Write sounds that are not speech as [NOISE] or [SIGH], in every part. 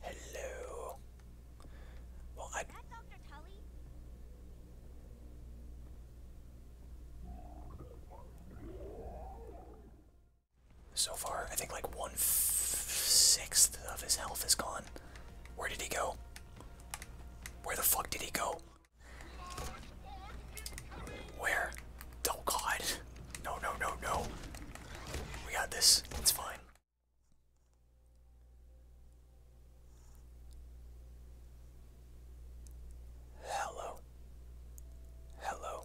Hello. So far, I think like one sixth of his health is gone. Where did he go? Where the fuck did he go? Where? Oh god. No, no, no, no. We got this. It's fine. Hello. Hello.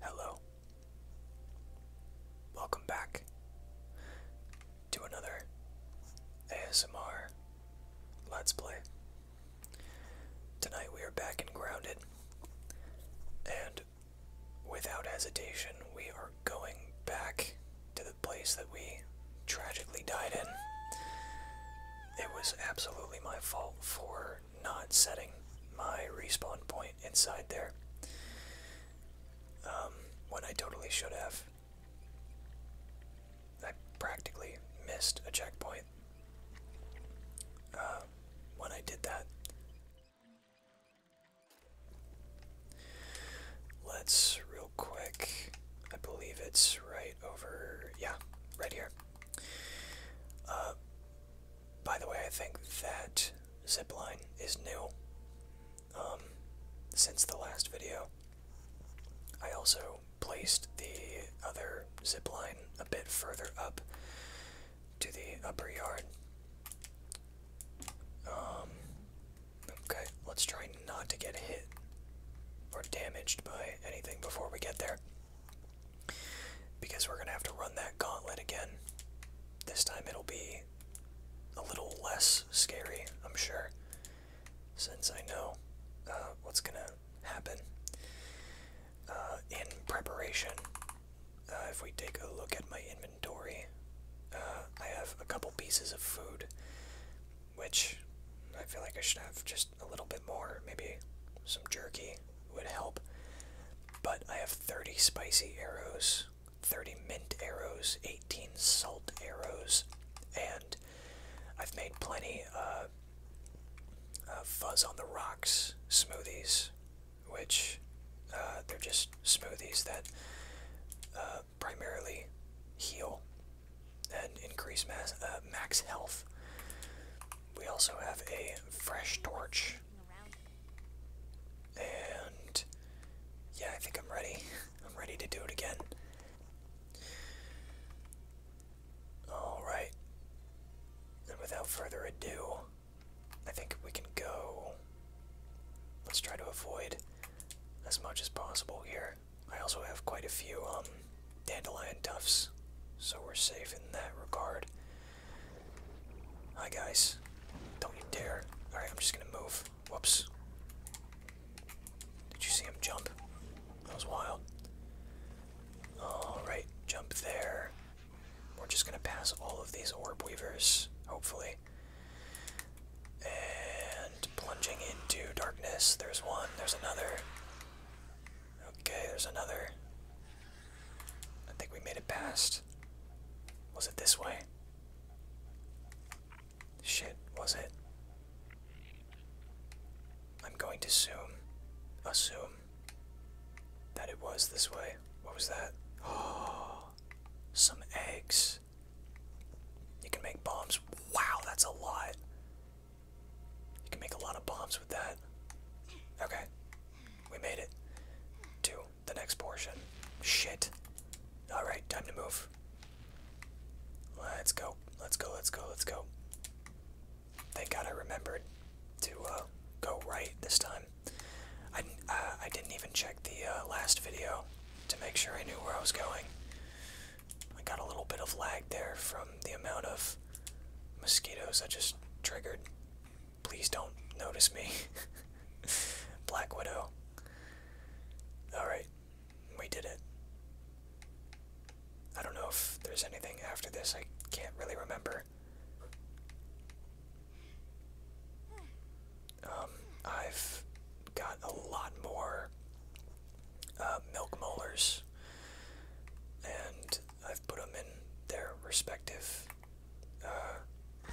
Hello. Welcome back to another ASMR Let's Play. Tonight we are back and grounded, and without hesitation, we are going back to the place that we tragically died in. It was absolutely my fault for not setting my respawn point inside there um, when I totally should have. I practically missed a checkpoint uh, when I did that. Let's real quick. I believe it's right over. Yeah, right here. Uh, by the way, I think that zip line is new. Um, since the last video, I also placed the other zip line a bit further up to the upper yard. Um, okay, let's try not to get hit or damaged by anything before we get there. Because we're going to have to run that gauntlet again. This time it'll be a little less scary, I'm sure, since I know uh, what's going to happen. Uh, in preparation uh, if we take a look at my inventory, uh, I have a couple pieces of food, which I feel like I should have just a little bit more. Maybe some jerky would help. But I have 30 spicy arrows, 30 mint arrows, 18 salt arrows, and I've made plenty of uh, fuzz on the rocks smoothies which uh, they're just smoothies that uh, primarily heal and increase uh, max health. We also have a fresh torch. And yeah, I think I'm ready. [LAUGHS] I'm ready to do it again. Alright. And without further ado, I think we can go. Let's try to avoid as much as possible here. I also have quite a few um, dandelion tufts, so we're safe in that regard. Hi guys, don't you dare. Alright, I'm just gonna move. Whoops. Did you see him jump? That was wild. Alright, jump there. We're just gonna pass all of these orb weavers, hopefully. And plunging into darkness. There's one, there's another. Okay, there's another. I think we made it past. Was it this way? Shit, was it? I'm going to assume, assume that it was this way. What was that? [GASPS] Oh, some eggs. You can make bombs. Wow, that's a lot. You can make a lot of bombs with that. Okay, we made it to the next portion. Shit. Alright, time to move. Let's go, let's go, let's go, let's go. Thank God I remembered to uh, go right this time. I, uh, I didn't even check the uh, last video to make sure I knew where I was going. I got a little bit of lag there from the amount of mosquitoes I just triggered. Please don't notice me. [LAUGHS] Black Widow. Alright, we did it. I don't know if there's anything after this, I can't really remember. Um, I've got a lot more uh, milk molars, and I've put them in their respective uh,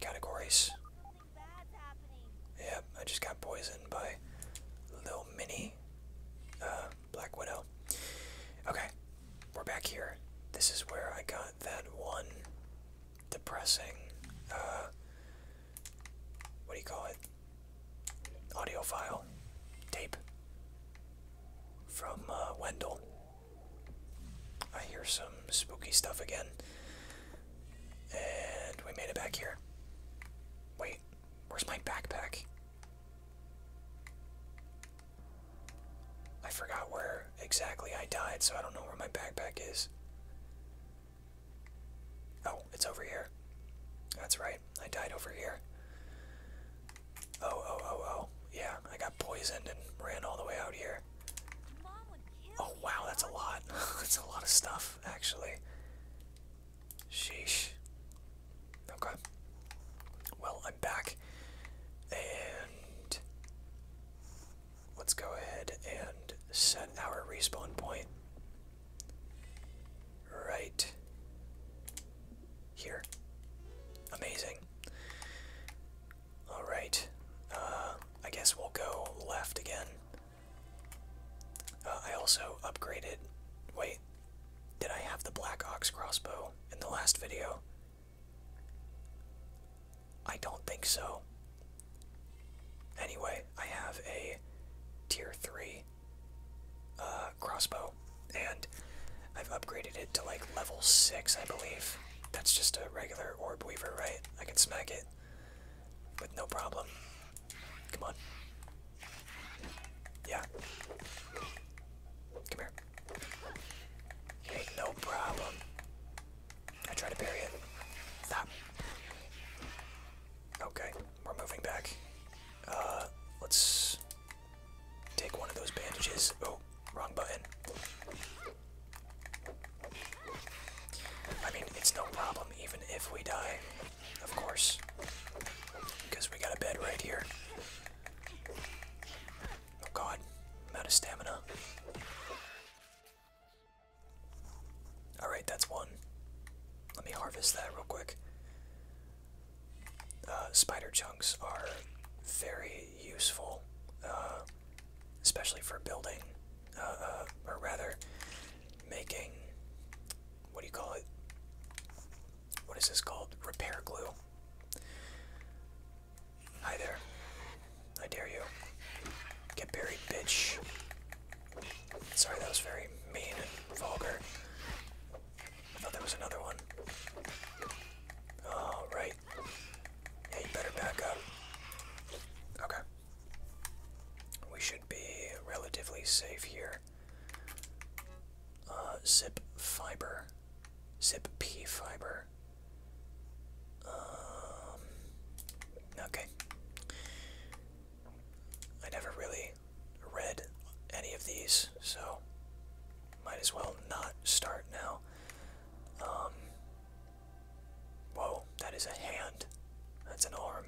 categories. Yeah, I just got poisoned by little mini uh, Black Widow. Okay, we're back here. This is where I got that one depressing, uh, what do you call it? Audio file, tape from uh, Wendell. I hear some spooky stuff again. And we made it back here. Wait, where's my backpack? I forgot where exactly I died, so I don't know where my backpack is. Oh, it's over here. That's right, I died over here. Oh, oh, oh, oh. Yeah, I got poisoned and ran all the way out here. Oh, wow, that's a lot. [LAUGHS] that's a lot of stuff, actually. Sheesh. Okay. Well, I'm back. And let's go ahead and set our respawn point right here. Amazing. Alright, uh, I guess we'll go left again. Uh, I also upgraded. Wait, did I have the Black Ox crossbow in the last video? I don't think so. Anyway, I have a tier 3 uh, crossbow, and I've upgraded it to like level 6, I believe. That's just a regular orb weaver, right? I can smack it with no problem. Come on. Yeah. Come here. Ain't no problem. I try to bury it. Stop. Okay, we're moving back. Uh, let's take one of those bandages. Oh, wrong button. I mean, it's no problem even if we die, of course, because we got a bed right here. Oh god, I'm out of stamina. Alright, that's one. Let me harvest that real quick. Uh, spider chunks are very useful, uh, especially for building, uh, or rather, making, what do you call it? What is this called? Repair glue. Hi there. I dare you. Get buried, bitch. Sorry, that was very mean and vulgar. I thought there was another one. All oh, right. Yeah, better back up. Okay. We should be relatively safe here. Uh, zip fiber. Zip P fiber. Um, okay. I never really read any of these, so might as well not start now. Um, whoa, that is a hand. That's an arm.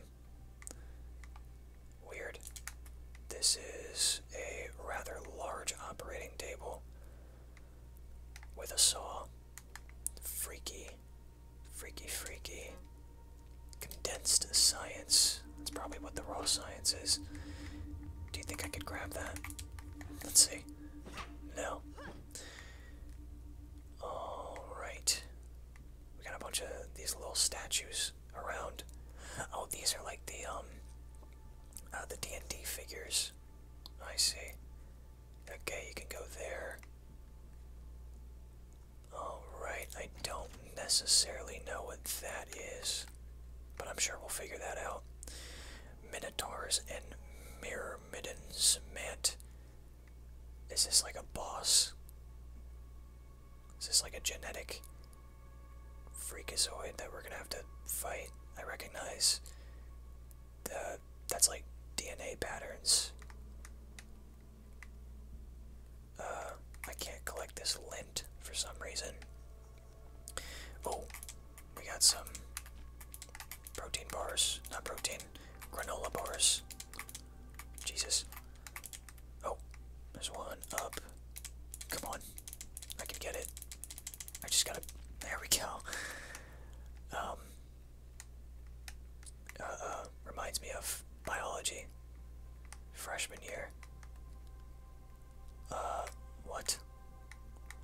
Weird. This is a rather large operating table with a saw. Freaky. Freaky, freaky. Condensed science. That's probably what the raw science is. Do you think I could grab that? Let's see. No. Alright. We got a bunch of these little statues around. Oh, these are like the, um, uh, the D&D figures. I see. Okay, you can go there. Alright, I don't necessarily know what that is, but I'm sure we'll figure that out. Minotaurs and Myrmidons met. Is this like a boss? Is this like a genetic freakazoid that we're gonna have to fight? I recognize that's like DNA patterns. Uh, I can't collect this lint for some reason. Oh, we got some protein bars. Not protein, granola bars. Jesus. Oh, there's one up. Come on. I can get it. I just gotta. There we go. Um, uh, uh, reminds me of biology. Freshman year. Uh, what?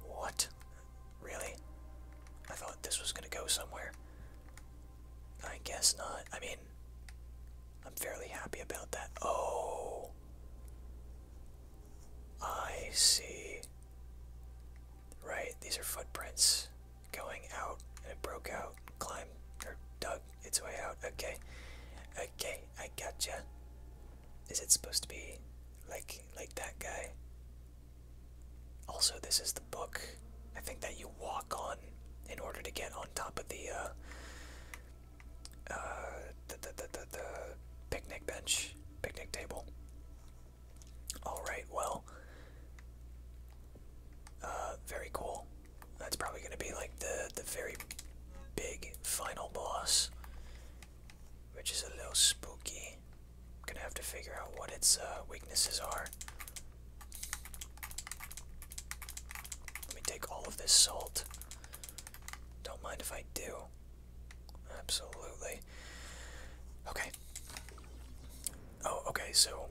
What? Really? I thought this was gonna go somewhere. I guess not. I mean, I'm fairly happy about that. Oh. I see right? These are footprints going out, and it broke out, climbed, or dug its way out. Okay, okay, I got ya. Is it supposed to be like like that guy? Also, this is the book. I think that you walk on in order to get on top of the uh, uh, the, the, the, the picnic bench, picnic table. Alright, well. Uh, very cool. That's probably gonna be like the the very big final boss. Which is a little spooky. I'm gonna have to figure out what its uh, weaknesses are. Let me take all of this salt. Don't mind if I do. Absolutely. Okay. Oh, okay, so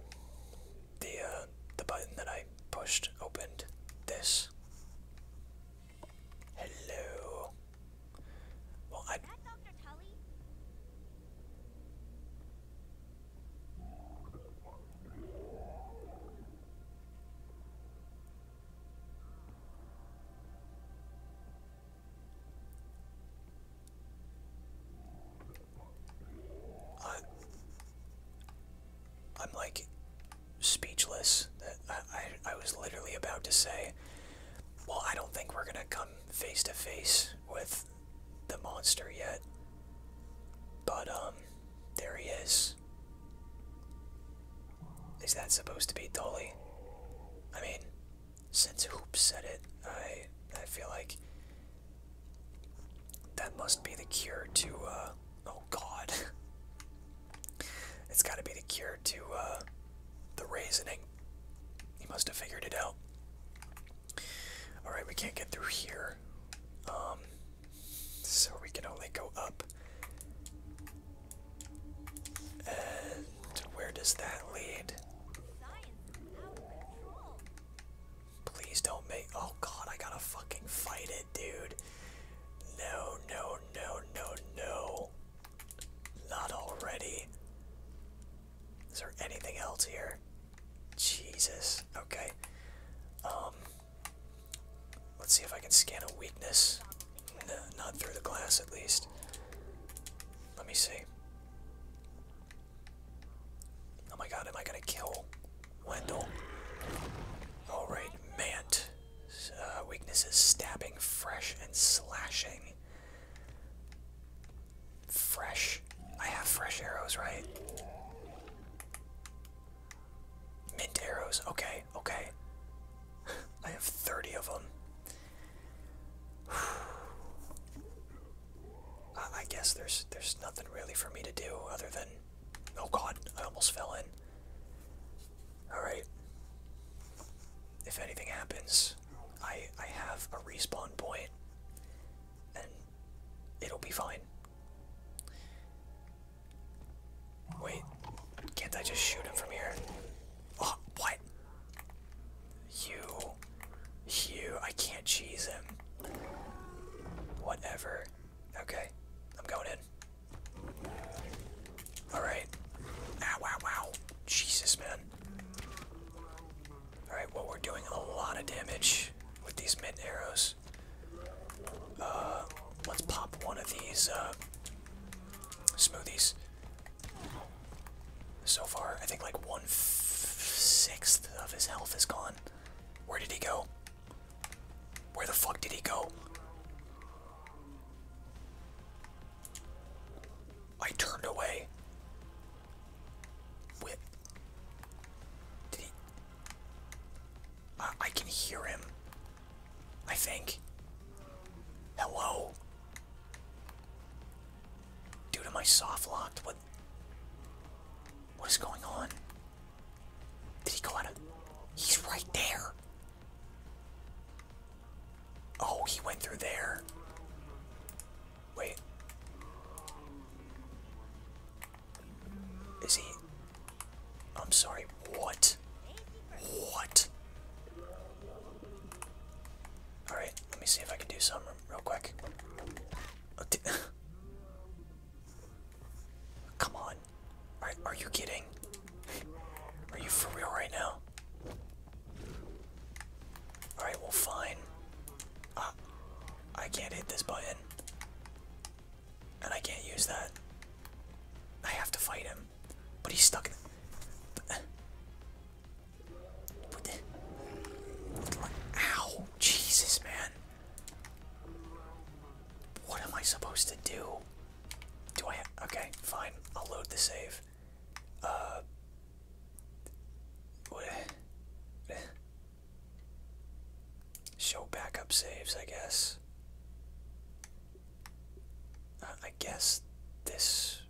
the uh, the button that I pushed opened this. Hello. I, I'm like speechless. I, I, I was literally about to say, well, I don't think we're gonna come face to face with the monster yet. But, um, there he is. Is that supposed to be Dolly? I mean, since Hoop said it, I I feel like that must be the cure to uh, oh god. [LAUGHS] it's gotta be the cure to uh, the reasoning. He must have figured it out. Alright, we can't get through here. Um so we can only go up. And where does that lead? Please don't make. Oh god, I gotta fucking fight it, dude. No, no, no, no, no. Not already. Is there anything else here? Jesus. Okay. Um. Let's see if I can scan a weakness. not through the glass, at least. Let me see. Oh my god, am I gonna kill Wendell? Alright, Mant. Uh, weaknesses stabbing, fresh, and slashing. Fresh. I have fresh arrows, right? Mint arrows. Okay, okay. [LAUGHS] I have 30 of them. [SIGHS] I guess there's there's nothing really for me to do other than oh god, I almost fell in. Alright. If anything happens, I I have a respawn point and it'll be fine. Wait, can't I just shoot him from here? Oh, what? You. You. I can't cheese him. Whatever. Okay. I'm going in. Alright. Ow, wow, wow. Jesus, man. Alright, well, we're doing a lot of damage with these mid arrows. Uh, let's pop one of these, uh, smoothies. So far, I think like one sixth of his health is gone. Where did he go? Where the fuck did he go? I turned away. Whip. Did he? I, can hear him. I think. Hello. Dude, am I soft locked? What is going on? Did he go out of? He's right there. Oh, he went through there. Wait. Is he? I'm sorry. What? What? Alright, let me see if I can do something real quick. [LAUGHS] Come on. Are, you kidding? Are you for real right now? Alright, well, fine. Ah, I can't hit this button. And I can't use that. I have to fight him. But he's stuck in ow! Jesus, man. What am I supposed to do? Do I okay, fine. I'll load the save. Uh, [SIGHS] show backup saves, I guess. Uh, I guess this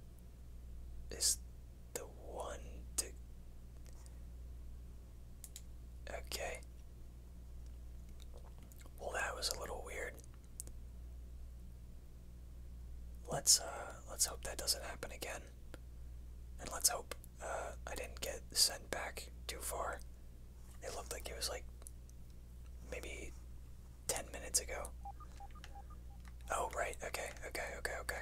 is the one Okay. Well, that was a little weird. Let's uh, let's hope that doesn't happen again, and let's hope uh, I didn't get sent back too far. It looked like it was like maybe ten minutes ago. Oh right, okay, okay, okay, okay.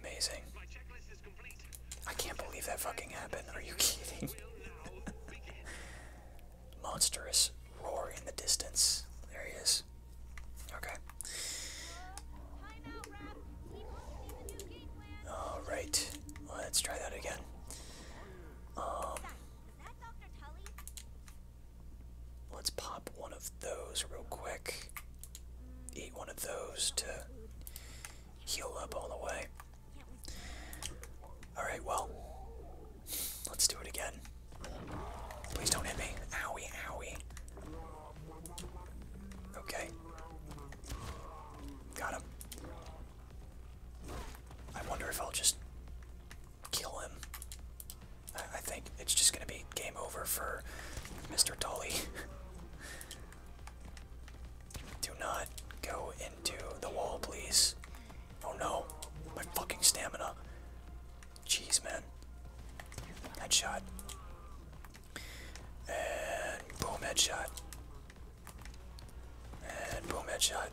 Amazing. I can't believe that fucking happened. Are you [LAUGHS] kidding? Monstrous roar in the distance. There he is. Okay. Alright. let's try that again. Um, let's pop one of those real quick. Eat one of those to heal up all the way. Alright, well, let's do it again. Please don't hit me. Owie, owie. Okay. Got him. I wonder if I'll just kill him. I think it's just going to be game over for Mr. Tully. [LAUGHS] Do not go into the wall, please. Oh no, my fucking stamina. Jeez, man. Headshot. And boom, headshot. And boom, headshot.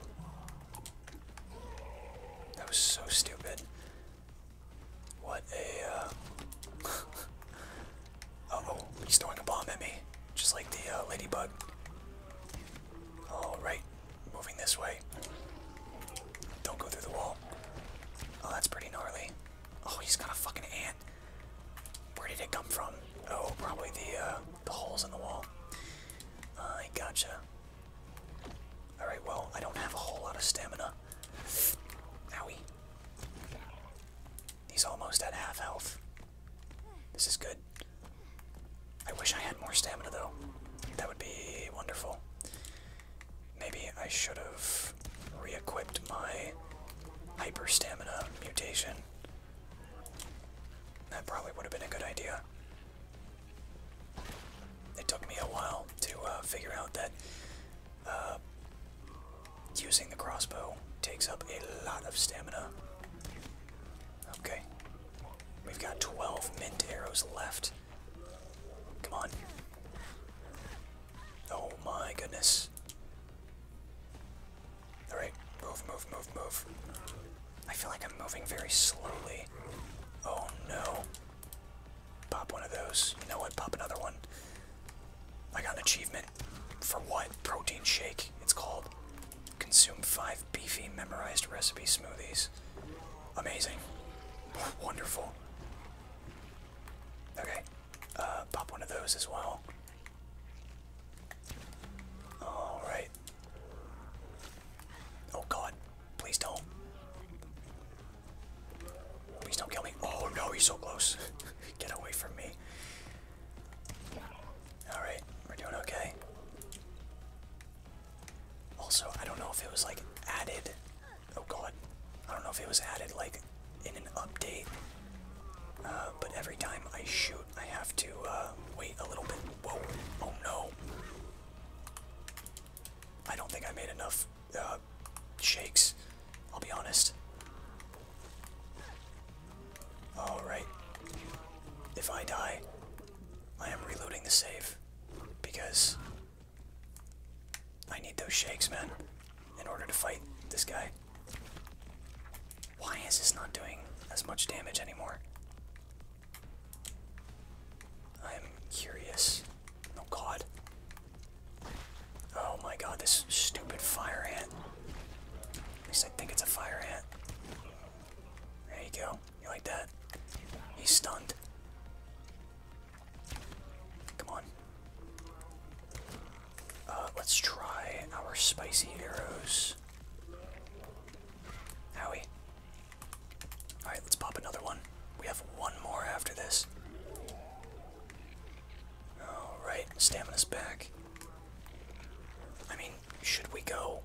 That was so stupid. What a. Uh... [LAUGHS] oh, he's throwing a bomb at me. Just like the uh, ladybug. Alright, moving this way. Don't go through the wall. Oh, that's pretty gnarly. Oh, he's got a fucking ant. Where did it come from? Oh, probably the uh, the holes in the wall. I gotcha. Alright, well, I don't have a whole lot of stamina. Now we. He's almost at half health. This is good. I wish I had more stamina though. That would be wonderful. Maybe I should have reequipped my hyper stamina mutation. That probably would have been a good idea. It took me a while to uh, figure out that uh, using the crossbow takes up a lot of stamina. Okay. We've got 12 mint arrows left. Come on. Oh my goodness. Alright, move, move, move, move. I feel like I'm moving very slowly. Oh no. Pop one of those. You know what? Pop another one. I got an achievement. For what? Protein shake. It's called. Consume five beefy memorized recipe smoothies. Amazing. [LAUGHS] Wonderful. Okay. Uh, pop one of those as well. Alright. Oh god. Please don't. Please don't kill me. Oh no, he's so close. [LAUGHS] Get away from me. Alright, we're doing okay. Also, I don't know if it was like added. Oh god. I don't know if it was added like in an update. Uh, but every time I shoot, I have to uh, wait a little bit. Whoa. Oh no. I don't think I made enough uh, shakes, I'll be honest. Alright. If I die, I am reloading the save because I need those shakes, man, in order to fight this guy. Why is this not doing as much damage anymore? I'm curious. Oh god. Oh my god, this stupid fire ant. At least I think it's a fire ant. There you go. You like that? He's stunned. Come on. Uh, let's try our spicy arrows. Howie. Alright, let's pop another one. We have one more after this. Alright, stamina's back. I mean, should we go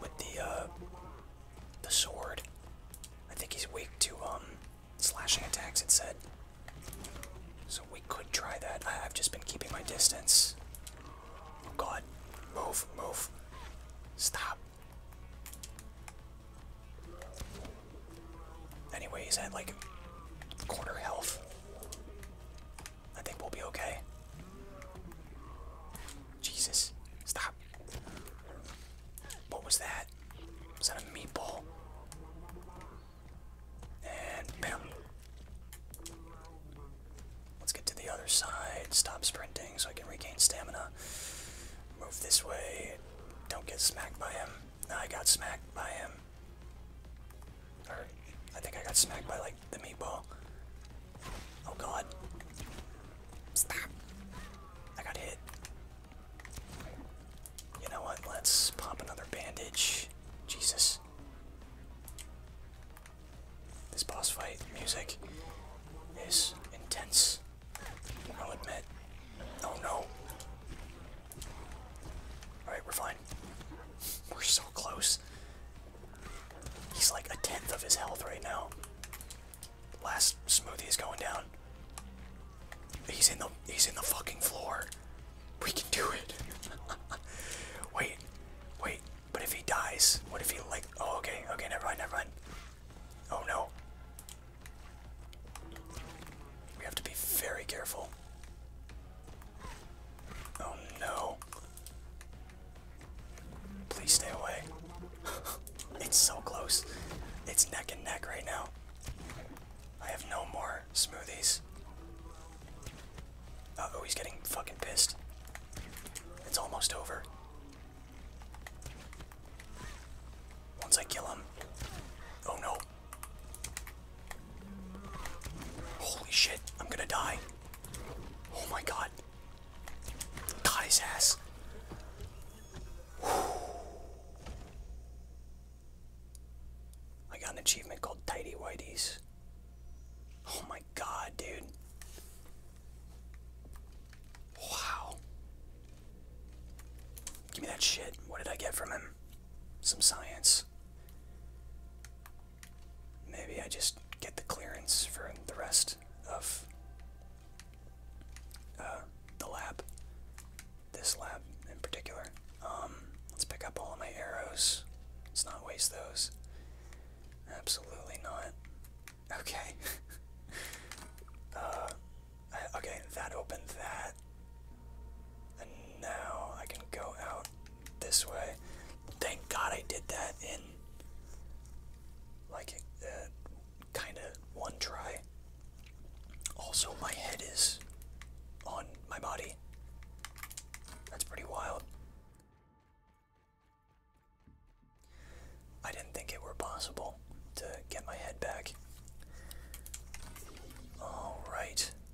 with the uh, the sword? I think he's weak to um slashing attacks it said. So we could try that. I I've just been keeping my distance. Oh god. Move, move. Stop. Anyways, he's at like corner health. I think we'll be okay. Jesus, stop. What was that? Was that a meatball? And bam. Let's get to the other side. Stop sprinting so I can regain stamina. Move this way. Don't get smacked by him. I got smacked by him. I think I got smacked by like the meatball. Oh god. Stop. I got hit. You know what? Let's pop another bandage. Jesus. This boss fight music is intense. I'll admit. Oh no. Alright, we're fine. We're so close. He's like a tenth of his health right now. Last smoothie is going down. He's in the he's in the fucking floor. We can do it. [LAUGHS] wait, wait. But if he dies, what if he like? Oh, okay, okay. Never mind, never mind. Oh no. We have to be very careful. Oh no. Please stay away. [LAUGHS] it's so close. It's neck and neck right now. I have no more smoothies. oh, he's getting fucking pissed. It's almost over. Once I kill him. Oh no. Holy shit, I'm gonna die. Oh my god. Got ass. I got an achievement called Tidy Whiteys. Oh my god, dude. Wow. Give me that shit. What did I get from him? some science. Maybe I just get the clearance for the rest of uh, the lab. This lab in particular. Um, let's pick up all my arrows. Let's not waste those. Absolutely not. Okay. [LAUGHS] Uh, okay, that opens that. And now I can go out this way. Thank God I did that in like uh, kind of one try. Also, my head is on my body. That's pretty wild. I didn't think it were possible to get my head back. Alright.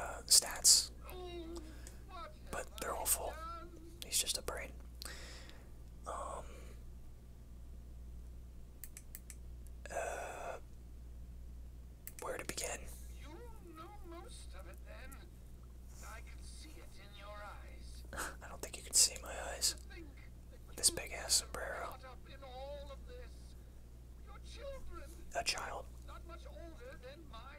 uh, stats, but they're all full. He's just a brain. Um, uh, where to begin? You know most of it then. I can see it in your eyes. I don't think you can see my eyes. With this big ass sombrero. A child. Not much older than my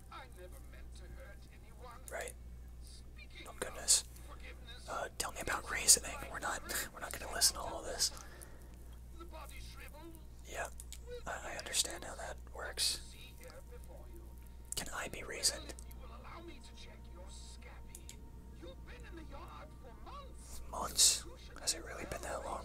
Right. Oh goodness. Uh, tell me about reasoning. We're not. We're not going to listen to all this. Yeah, I, understand how that works. Can I be reasoned? Months? Has it really been that long?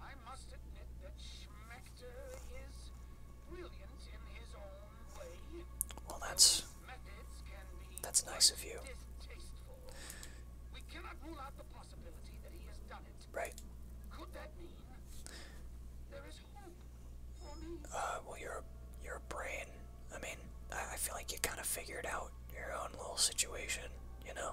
I must admit that Schmechter is brilliant in his own way. Well, that's that's nice of you. Right. Uh, well, you're brain. I mean, I feel like you kind of figured out your own little situation, you know?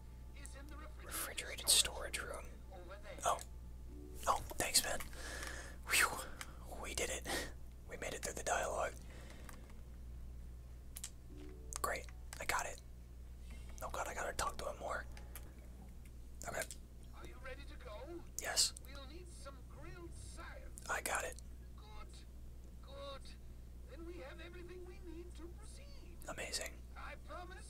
Refrigerated storage room. Oh. Oh, thanks, man. Whew. We did it. We made it through the dialogue. Great. I got it. Oh god, I gotta talk to him more. Okay. Are you ready to go? Yes. We'll need some grilled science. I got it. Good. Good. Then we have everything we need to proceed. Amazing. I promise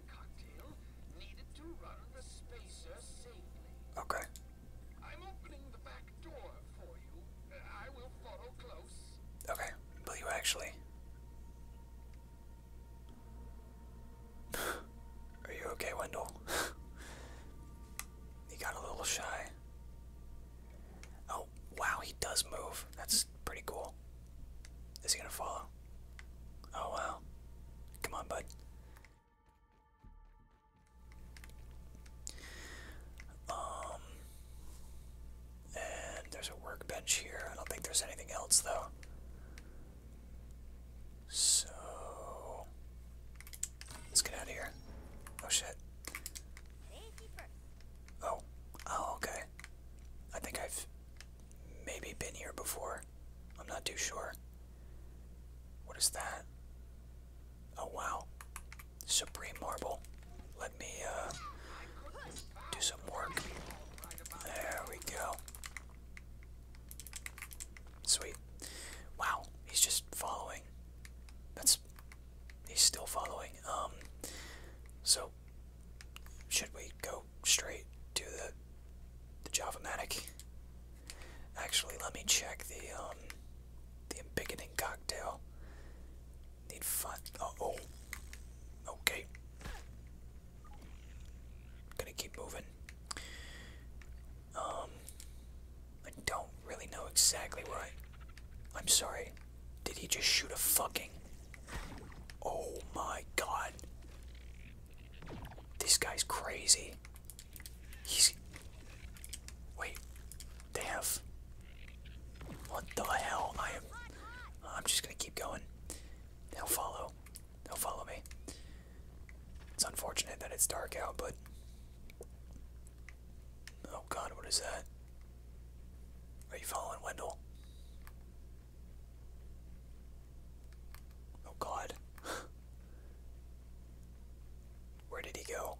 Okay. Okay. Will you actually? [SIGHS] Are you okay, Wendell? [LAUGHS] he got a little shy. Oh, wow, he does move. That's pretty cool. Is he gonna follow? Oh wow. Come on, bud. Um and there's a workbench here. I don't think there's anything else though. So let's get out of here. Oh shit. Oh. Oh, okay. I think I've Maybe been here before. I'm not too sure. What is that? Oh wow. Supreme Marble. Let me uh do some work. There we go. Sweet. Wow, he's just following. That's he's still following. Um so should we go straight to the the Javamatic. Actually, let me check the um the beginning cocktail. Need fun. Uh oh. Okay. Gonna keep moving. Um, I don't really know exactly where I'm sorry. Did he just shoot a fucking? Oh my god. This guy's crazy. He's. Wait. They What the hell? I am. I'm just gonna keep going. They'll follow. They'll follow me. It's unfortunate that it's dark out, but. Oh god, what is that? Are you following Wendell? Oh god. Where did he go?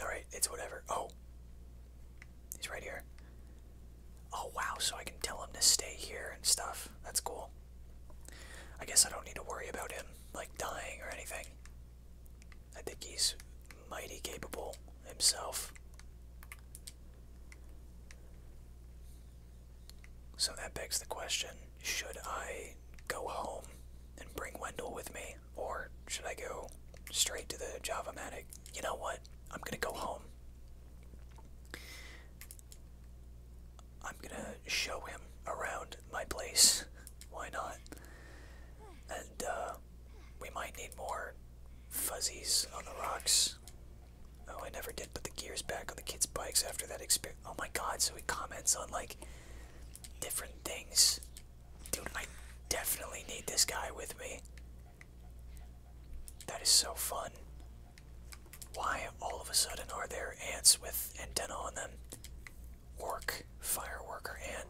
Alright, it's whatever. Oh. He's right here. Oh wow, so I can tell him to stay here and stuff. That's cool. I guess I don't need to worry about him, like, dying or anything. I think he's mighty capable himself. So that begs the question should I go home and bring Wendell with me, or should I go straight to the Javamatic? You know what? I'm gonna go home. I'm gonna show him around my place. Why not? And, uh, we might need more fuzzies on the rocks. Oh, I never did put the gears back on the kids' bikes after that experience. Oh my god, so he comments on like different things. Dude, I definitely need this guy with me. That is so fun. Why all of a sudden are there ants with antennae on them? Work fireworker, ant.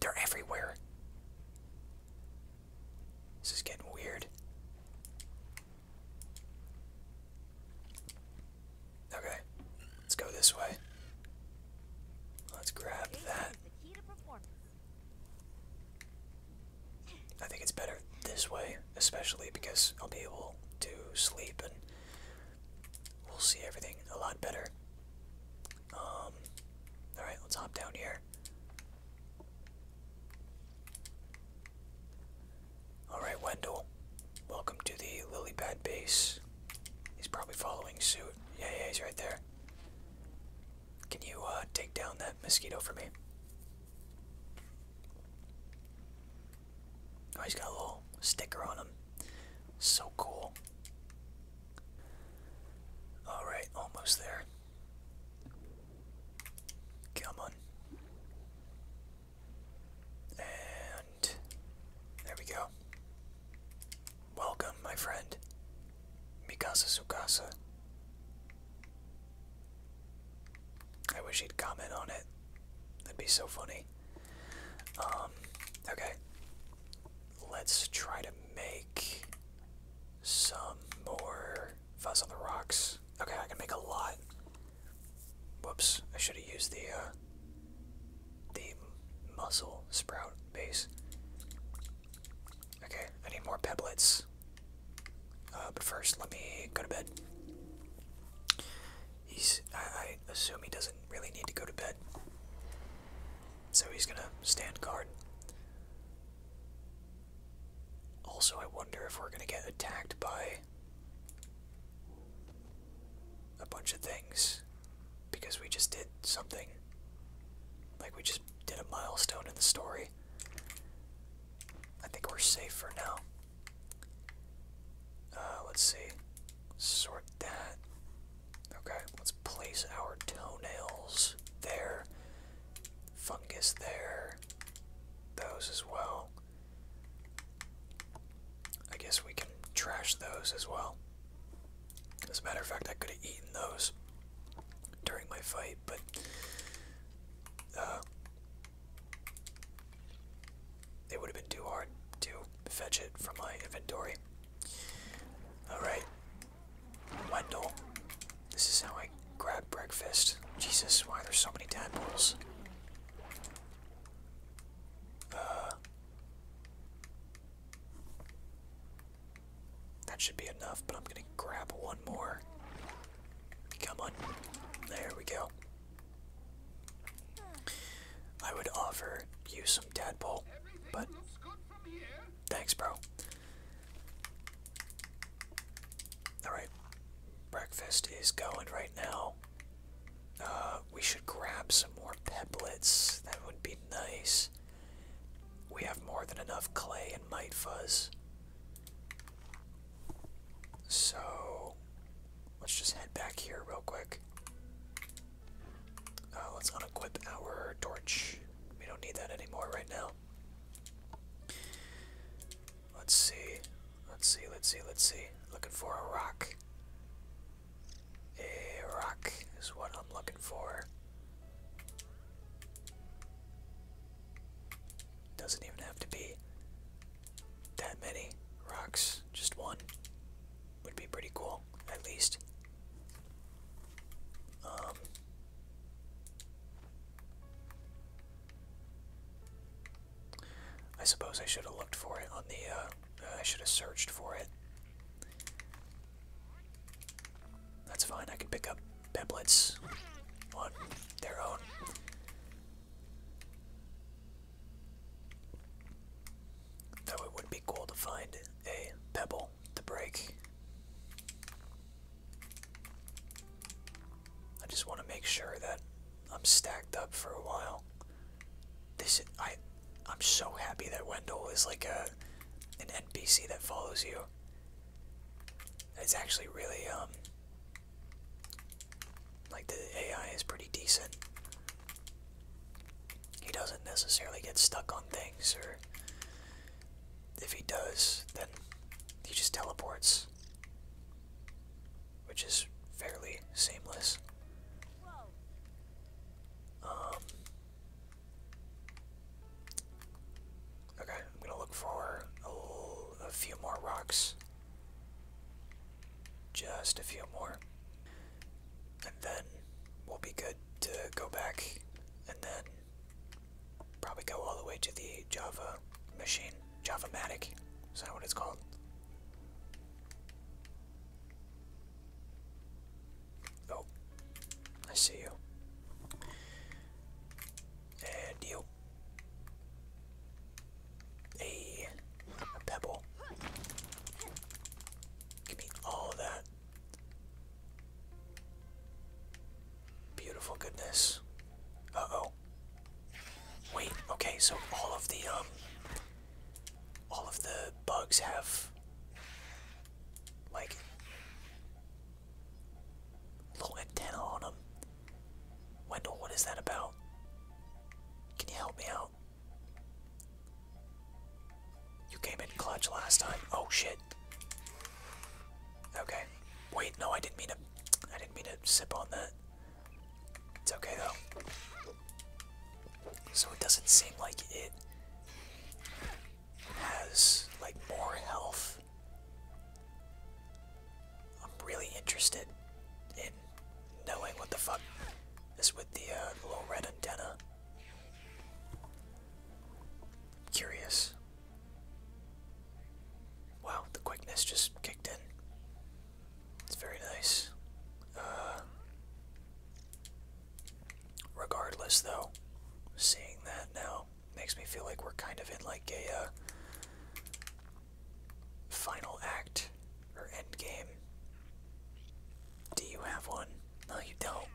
They're everywhere. This is getting weird. Okay, let's go this way. Let's grab that. I think it's better this way, especially because I'll be able to sleep and we'll see everything a lot better. Um, alright, let's hop down here. Alright, Wendell. Welcome to the Lilybad base. He's probably following suit. Yeah, yeah, he's right there. Can you uh, take down that mosquito for me? Oh, he's got a little sticker on him. So cool. Alright, almost there. Come on. And there we go. Welcome, my friend. Mikasa Sukasa. I wish he'd comment on it. That'd be so funny. Um, okay. Let's try to make some more fuzz on the rocks. Okay, I can make a lot. Whoops, I should have used the, uh, the mussel sprout base. Okay, I need more pebblets. Uh, but first, let me go to bed. He's, I assume he doesn't really need to go to bed. So he's gonna stand guard. Also, I wonder if we're gonna get attacked by a bunch of things because we just did something. Like we just did a milestone in the story. I think we're safe for now. Uh, let's see. Sort that. Okay, let's place our toenails there. Fungus there. Those as well. I guess we can trash those as well. As a matter of fact, I could have eaten those during my fight, but uh, they would have been too hard to fetch it from my inventory. Alright. Wendell. This is how I grab breakfast. Jesus, why are there so many tadpoles? Uh, [SIGHS] that should be enough, but I'm gonna grab one more. Come on. There we go. I would offer you some tadpole, but thanks, bro. Alright, breakfast is going right now. Uh, we should grab some more pebblets. That would be nice. We have more than enough clay and mite fuzz. So, let's just head back here real quick. Uh, let's unequip our torch. We don't need that anymore right now. Let's see. Let's see, let's see, let's see. Looking for a rock. A rock is what I'm looking for. Doesn't even have to be that many rocks. Just one would be pretty cool, at least. Um, I suppose I should have looked for it on the. Uh, uh, I should have searched for it. That's fine. I can pick up pebbles on their own. Though it would be cool to find a pebble to break. I just want to make sure that I'm stacked up for a while. This I I'm so happy that Wendell is like a an NPC that follows you. It's actually really um like the AI is pretty decent. He doesn't necessarily get stuck on things or if he does, then he just teleports which is fairly seamless. Um, okay, I'm gonna look for a few more rocks. Just a few more. And then we'll be good to go back and then probably go all the way to the Java machine. Javamatic. Is that what it's called? Oh, I see you. And a pebble. Give me all that. Beautiful goodness. Uh oh. Wait, okay, so all of the um all of the bugs have like little antenna on them. Wendell, what is that about? Can you help me out? You came in clutch last time. Oh shit. Okay. Wait, no, I didn't mean to I didn't mean to sip on that. It's okay though. So it doesn't seem like it has like more health. I'm really interested in knowing what the fuck is with the uh, little red antenna. I'm curious. Wow, the quickness just kicked in. It's very nice. Uh, regardless, though, seeing that now makes me feel like we're kind of in like a uh, final act or end game. Do you have one? No, you don't.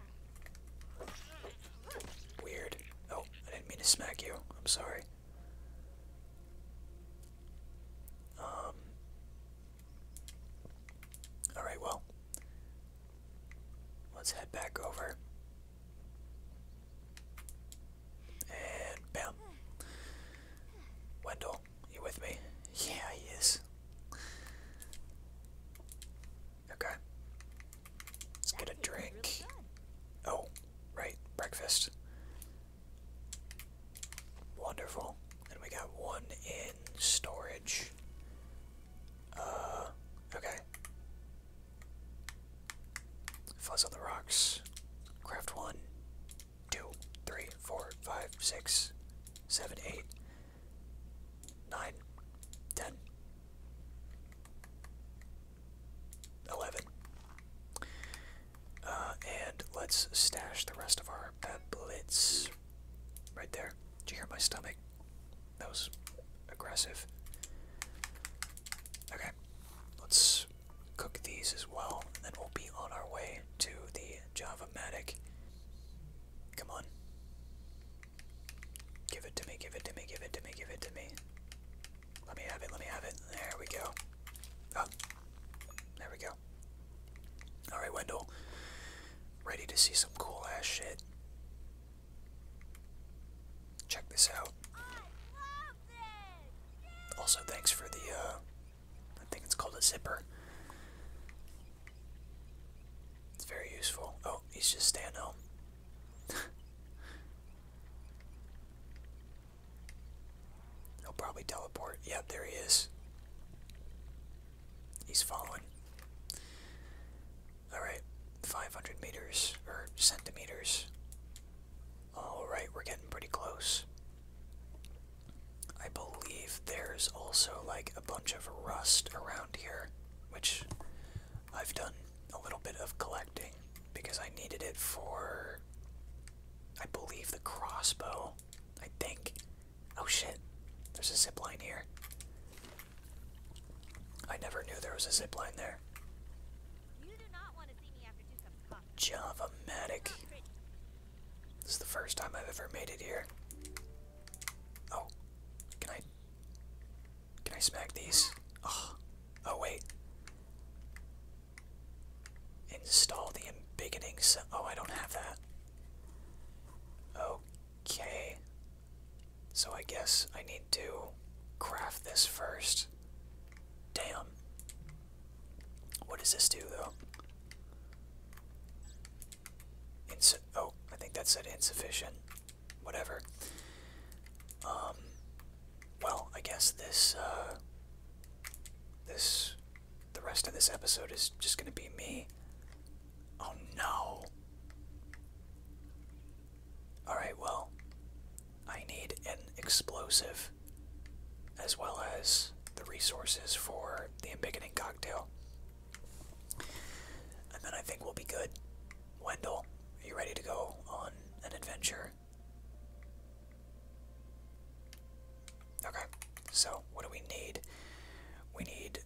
Weird. Oh, I didn't mean to smack you. I'm sorry. Um, Alright, well, let's head back over. And bam. Wendell, you with me? Yeah, he is. Okay. Let's get a drink. oh, right, breakfast. Wonderful. And we got one in storage. Uh, okay. Fuzz on the rocks. Craft one, two, three, four, five, six, seven, eight, nine, ten, eleven. Uh, and let's stash the rest of our that blitz right there. Did you hear my stomach? That was aggressive. Okay, let's cook these as well, and then we'll be on our way to the Java Matic. Come on. Give it to me, give it to me, give it to me, give it to me. Let me have it, let me have it. There we go. Oh, there we go. Alright, Wendell. Ready to see some cool ass shit. Check this out. Also, thanks for the, uh, I think it's called a zipper. It's very useful. Oh, he's just standing. home. [LAUGHS] He'll probably teleport. Yeah, there he is. He's following. Alright, 500 meters, or centimeters. Alright, we're getting pretty close. I believe there's also like a bunch of rust around here, which I've done a little bit of collecting because I needed it for, I believe, the crossbow. I think. Oh shit. There's a zip line here. I never knew there was a zip line there. Java manic. Oh, this is the first time I've ever made it here. Oh. Can I Can I smack these? Oh, oh wait. Install the embiggening Oh, I don't have that. Okay. So I guess I need to craft this first. Damn. What does this do, though? Insu oh, I think that said insufficient. Whatever. Um, well, I guess this, uh, this the rest of this episode is just gonna be me. Oh no! Alright, well, I need an explosive as well as the resources for the embiggening cocktail. And then I think we'll be good. Wendell, are you ready to go on an adventure? Okay, so what do we need? We need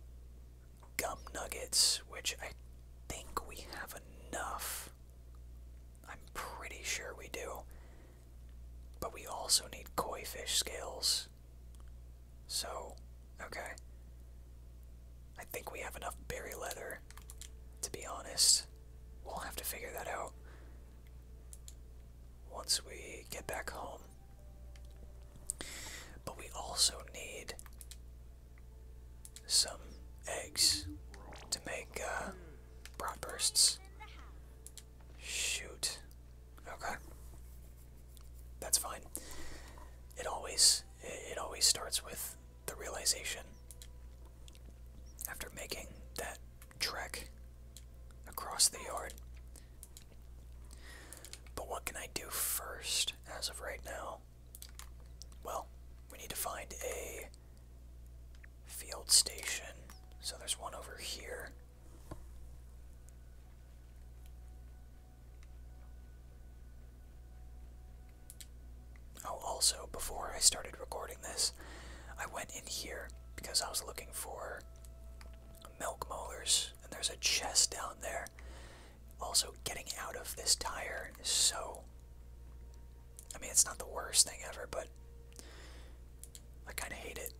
gum nuggets, which I think we have enough. I'm pretty sure we do. But we also need koi fish scales. So, okay. I think we have enough berry leather, to be honest. We'll have to figure that out once we get back home. But we also need some eggs to make uh, bursts. Shoot. Okay. That's fine. It always it always starts with the realization after making that trek across the yard but what can I do first as of right now? Well, we need to find a field station. So there's one over here. Oh, also, before I started recording this, I went in here because I was looking for milk molars, and there's a chest down there. Also, getting out of this tire is so. I mean, it's not the worst thing ever, but I kind of hate it.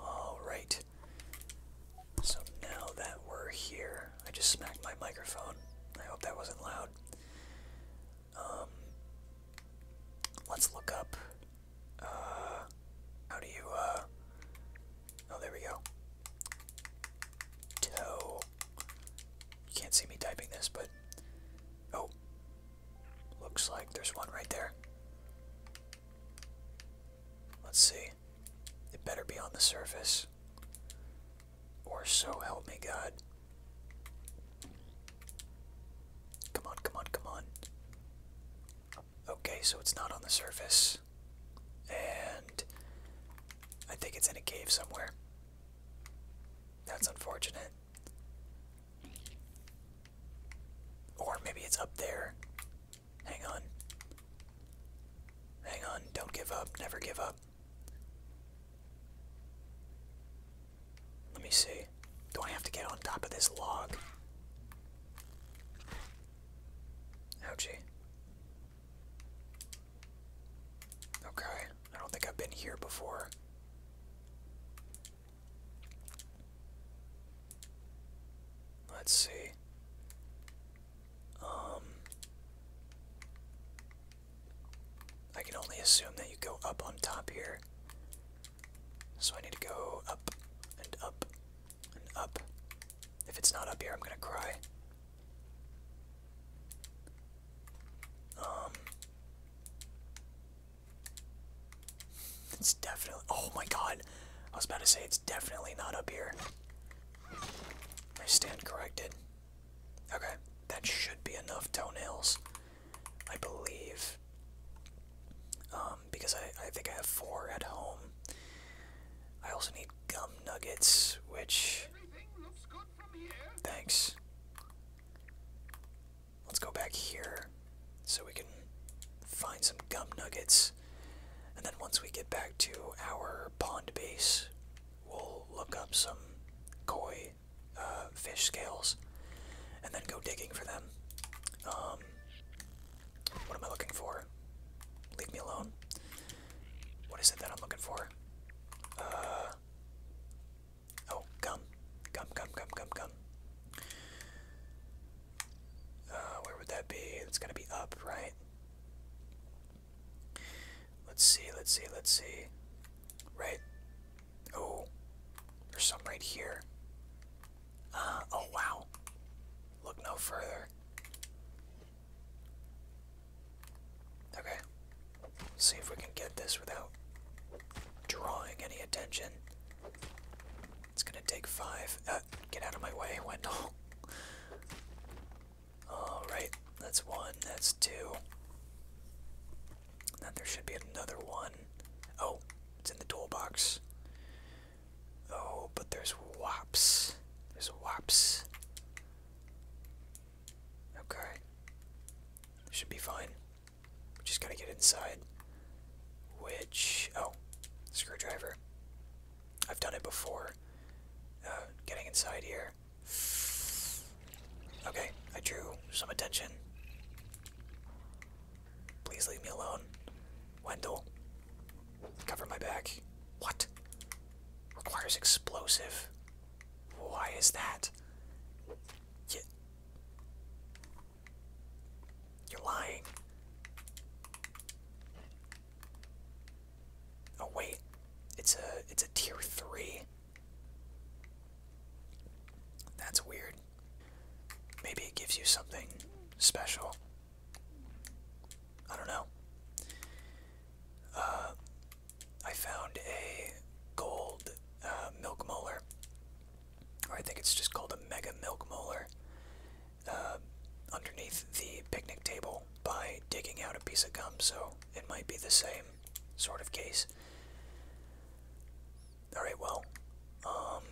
Alright. So now that we're here, I just smacked my microphone. I hope that wasn't loud. Um, let's look up uh, how do you, uh, oh, there we go. Toe. You can't see me typing this, but, oh, looks like there's one right there. Let's see. It better be on the surface. Or so help me God. Come on, come on, come on. Okay, so it's not on the surface. And I think it's in a cave somewhere. That's unfortunate. Or maybe it's up there. Hang on. Hang on. Don't give up. Never give up. Let me see. Do I have to get on top of this log? Ouchie. Okay, I don't think I've been here before. Let's see. Um, I can only assume that you go up on top here. So I need to go up and up and up. If it's not up here, I'm gonna cry. Um. It's definitely. Oh my god! I was about to say it's definitely not up here. I stand corrected. Okay, that should be enough toenails. I believe, um, because I, think I have four at home. I also need gum nuggets, which. Thanks. Let's go back here so we can find some gum nuggets. And then once we get back to our pond base, we'll look up some koi uh, fish scales and then go digging for them. Um, what am I looking for? Leave me alone. What is it that I'm looking for? Uh. Oh, gum. Gum, gum, gum, gum, gum. Uh, where would that be? It's gotta be up, right? Let's see, let's see, let's see. Right. Oh. There's some right here. Uh, oh wow. Look no further. Okay. see if we can get this without drawing any attention. It's gonna take five. Uh, get out of my way, [LAUGHS] Wendell. Alright, that's one, that's two. Now there should be another one. Oh, it's in the toolbox. Oh, but there's WAPs. There's WAPs. Okay. Should be fine. Just gotta get inside. Which. Oh, screwdriver. I've done it before. Uh, getting inside here. Okay, I drew some attention. Please leave me alone. Wendell. Cover my back. What? Requires explosive. Why is that? You... You're lying. Oh wait, it's a it's a tier three. That's weird. Maybe it gives you something special. I don't know. Uh, I found a gold uh, milk molar, or I think it's just called a mega milk molar, uh, underneath the picnic table by digging out a piece of gum, so it might be the same sort of case. Alright, well, um,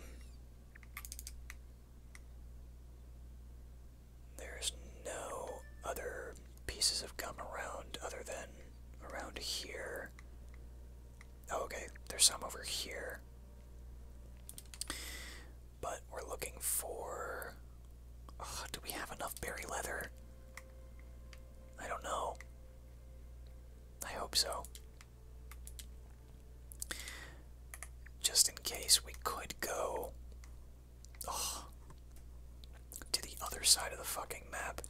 there's no other pieces of gum around other than around here. Oh, okay, there's some over here. But we're looking for. Ah, do we have enough berry leather? I don't know. I hope so. Just in case, we could go oh, to the other side of the fucking map.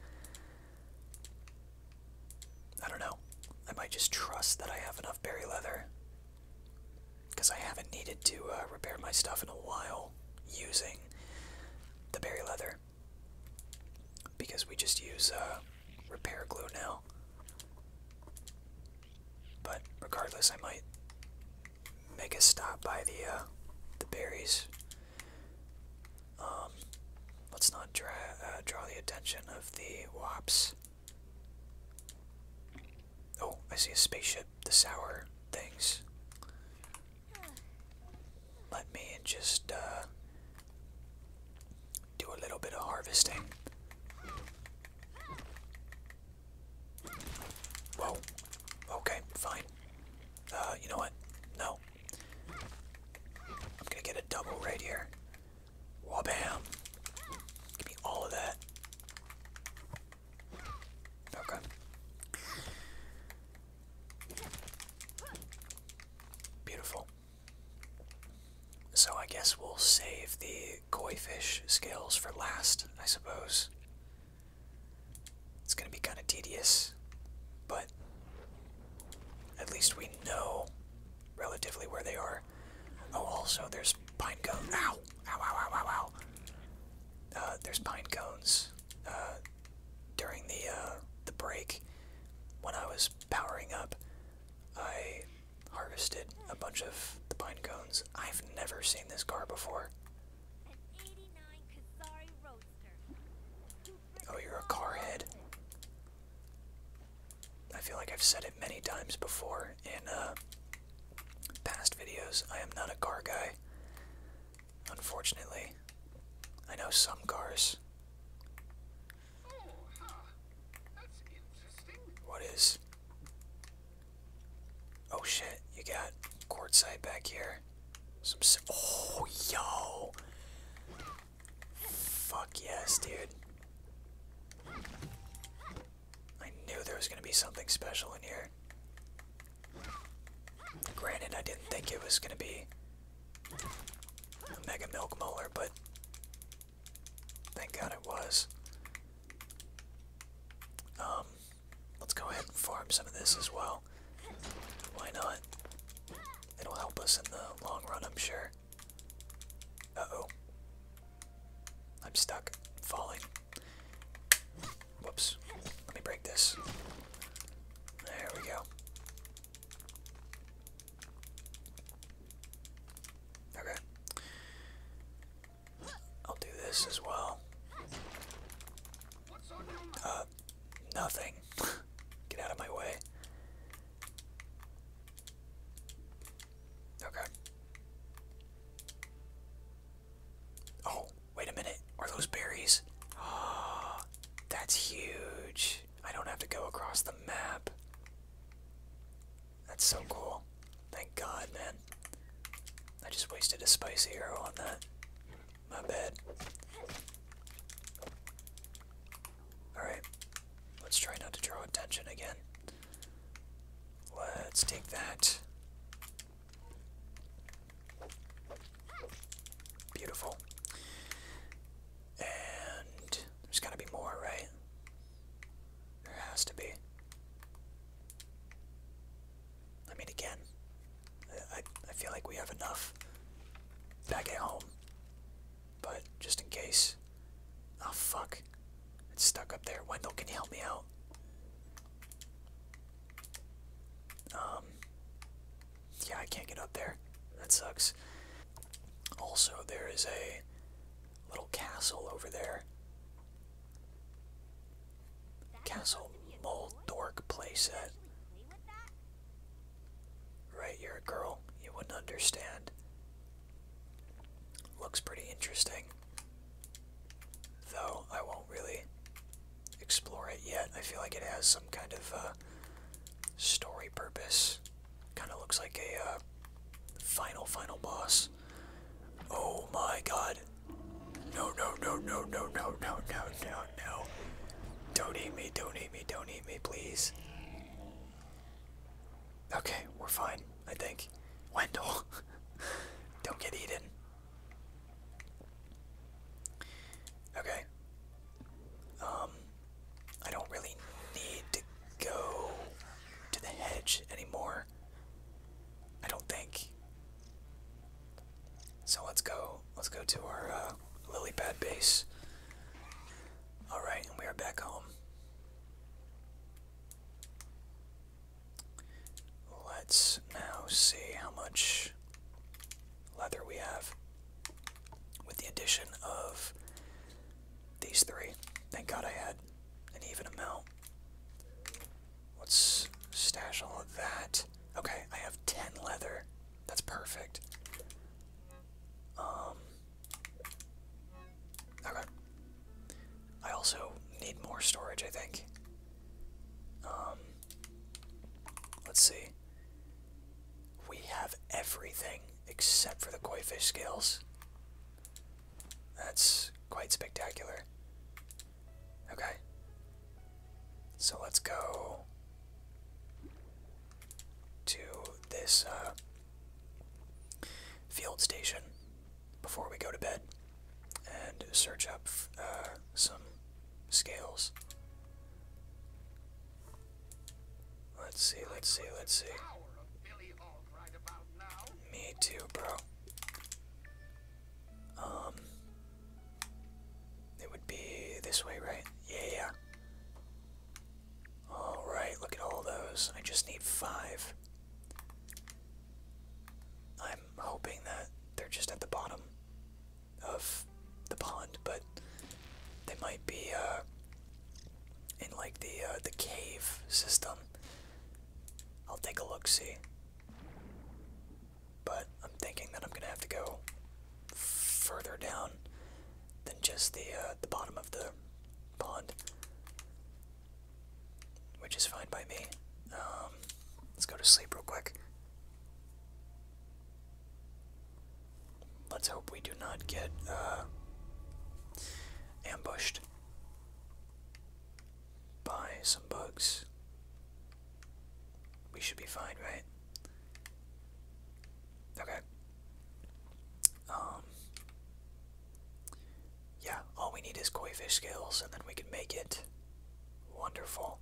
I don't know. I might just trust that I have enough berry leather. Because I haven't needed to uh, repair my stuff in a while using the berry leather. Because we just use uh, repair glue now. But regardless, I might make a stop by the uh, the berries. Um, let's not draw uh, draw the attention of the wops. Oh, I see a spaceship. The sour things. Let me just uh, do a little bit of harvesting. Whoa. Okay, fine. Uh, you know what? No. I'm gonna get a double right here. Wabam! Give me all of that. Okay. Beautiful. So I guess we'll save the koi fish skills for last, I suppose. It's gonna be kinda tedious, but at least we know relatively where they are. Oh, also, there's pine cones. Ow! Ow, ow, ow, ow, ow. Uh, there's pine cones uh, during the, uh, the break. When I was powering up, I harvested a bunch of the pine cones. I've never seen this car before. Oh, you're a car head. I feel like I've said it many times before in uh, past videos. I am not a car guy, unfortunately. I know some cars. What is? Oh shit, you got quartzite back here. oh yo. Fuck yes, dude. I knew there was gonna be something special in here. Granted, I didn't think it was gonna be a Mega Milk Molar, but Thank God it was. Um, let's go ahead and farm some of this as well. Why not? It'll help us in the long run, I'm sure. oh I'm stuck. falling. Whoops. Let me break this. There we go. Okay. I'll do this as well. Uh, nothing. [LAUGHS] Get out of my way. Okay. Oh, wait a minute. Are those berries? Ah, [GASPS] that's huge. I don't have to go across the map. That's so cool. Thank God, man. I just wasted a spicy arrow on that. My bad. Alright. Let's try not to draw attention again. Let's take that. Beautiful. And there's gotta be more, right? There has to be. I mean, again, I, I feel like we have enough back at home. But just in case. Oh, fuck. It's stuck up there. Wendell, can you help me out? Um, yeah, I can't get up there. That sucks. Also, there is a Little castle over there. Castle Moldork playset. Right, you're a girl. You wouldn't understand. Looks pretty interesting. Though, I won't really explore it yet. I feel like it has some kind of uh, story purpose. Kind of looks like a uh, final, final boss this. Oh my god. No, no, no, no, no, no, no, no, no, no. Don't eat me, don't eat me, don't eat me, please. Okay, we're fine, I think. Wendell, [LAUGHS] don't get eaten. Okay. Um, I don't really need to go to the hedge anymore. I don't think. So let's go. Let's go to our uh, lily pad base. All right, and we are back home. Let's now see how much leather we have with the addition of these three. Thank God I had an even amount. Let's stash all of that. Okay, I have 10 leather. That's perfect. Um. Okay. I also need more storage, I think. Um. Let's see. We have everything except for the koi fish scales. That's quite spectacular. Okay. So let's go to this uh, field station before we go to bed and search up uh, some scales. Let's see, let's see, let's see. Me too, bro. Um, it would be this way, right? Yeah, yeah. All right, look at all those. I just need five. I'm hoping that they're just at the bottom of the pond, but they might be uh, in like the uh, the cave system. I'll take a look see. But I'm thinking that I'm gonna have to go further down than just the uh, the bottom of the pond, which is fine by me. Um, let's go to sleep real quick. Let's hope we do not get uh, ambushed buy some bugs. We should be fine, right? Okay. Um. Yeah, all we need is koi fish scales, and then we can make it wonderful.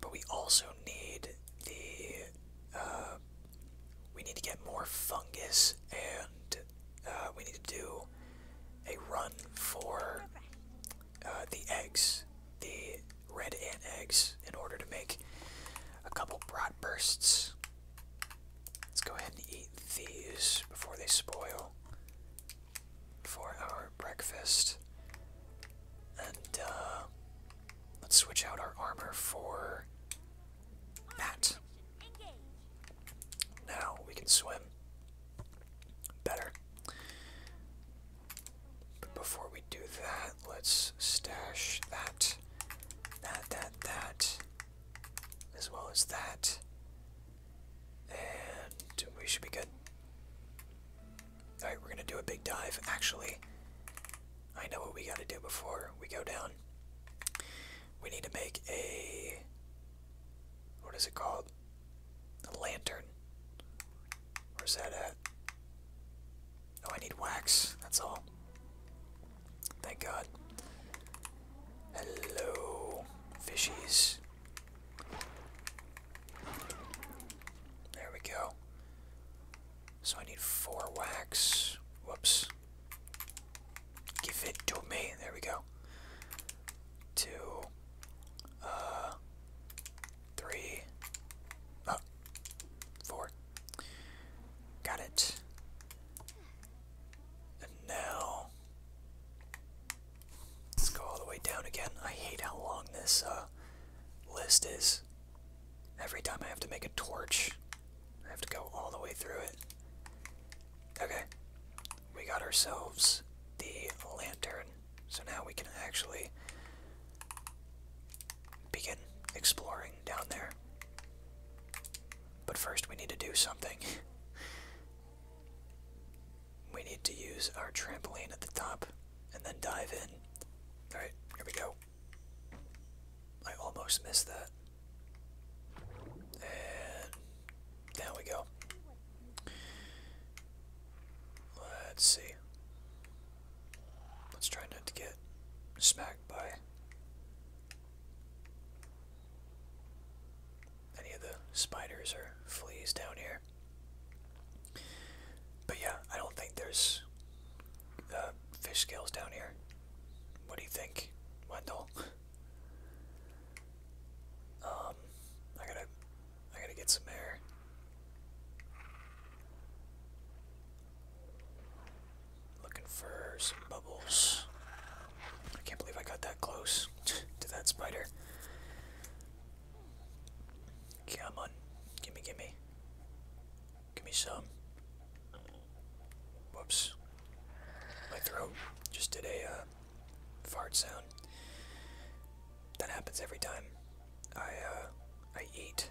But we also need the. Uh, we need to get more fungus and uh, we need to do a run for uh, the eggs, the red ant eggs, in order to make a couple broad bursts. Let's go ahead and eat these before they spoil for our breakfast. And uh, let's switch out our armor for that. Now we can swim. Better. But before we do that, let's stash that, that, that, that, as well as that. And we should be good. Alright, we're gonna do a big dive. Actually, I know what we gotta do before we go down we need to make a what is it called? A lantern. Where's that at? Oh, I need wax. That's all. Thank God. Hello, fishies. There we go. So I need four wax. Whoops. Give it to me. There we go. Two. Uh, three. Oh. Four. Got it. now. Let's go all the way down again. I hate how long this, uh, List is. Every time I have to make a torch, I have to go all the way through it. Okay we got ourselves the lantern. So now we can actually begin exploring down there. But first, we need to do something. [LAUGHS] we need to use our trampoline at the top and then dive in. Alright, here we go. I almost missed that. And there we go. Let's see. Let's try not to get smacked by any of the spiders or fleas down here. But yeah, I don't think there's uh, fish scales down here. What do you think, Wendell? [LAUGHS] Um, I gotta, I gotta get some air. Looking for some bubbles. I can't believe I got that close [LAUGHS] to that spider. Come on, gimme, gimme. Gimme some. Whoops. My throat just did a, uh, fart sound. That happens every time I uh, I eat.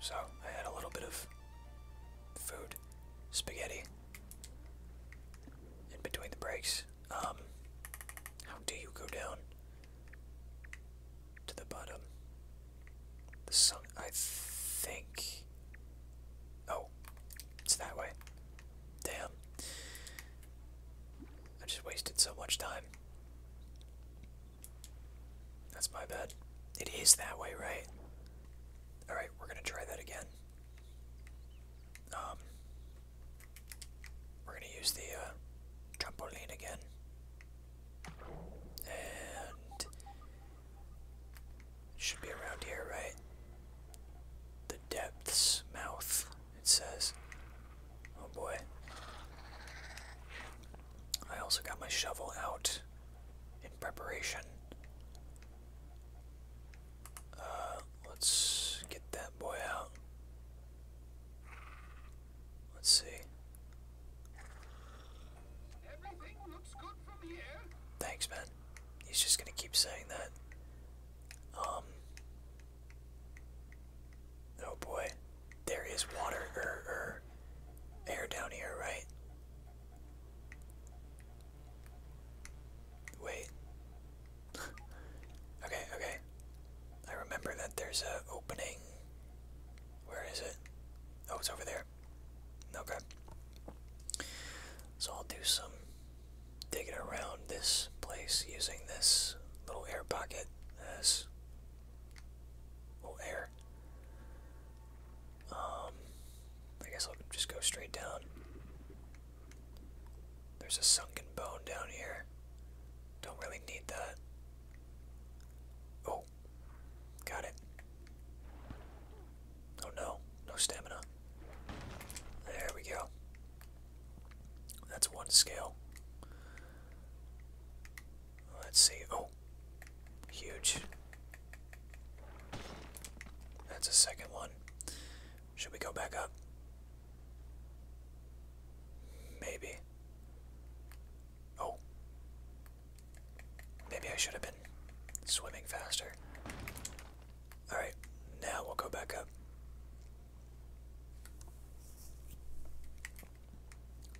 So I had a little bit of food, spaghetti, in between the breaks. Um, how do you go down to the bottom? The sun. I think Oh, it's that way. Damn. I just wasted so much time. That's my bad. It is that way, right? Alright, we're gonna try that again. Um, we're gonna use the uh, trampoline again. And. should be around here, right? depth's mouth, it says. Oh boy. I also got my shovel out in preparation. Uh, let's get that boy out. Let's see. Thanks, man. He's just gonna keep saying that. Um. Oh boy, there is water or er, er, air down here, right? Wait. [LAUGHS] okay, okay. I remember that there's a opening. Where is it? Oh, it's over there. Okay. So I'll do some digging around this place using this little air pocket, this little air. Um, I guess I'll just go straight down. There's a sunken bone down here. Don't really need that. Oh, got it. Oh no, no stamina. There we go. That's one scale. Let's see. Oh, huge. That's a second one. Should we go back up? Maybe. Oh. Maybe I should have been swimming faster. Alright, now we'll go back up.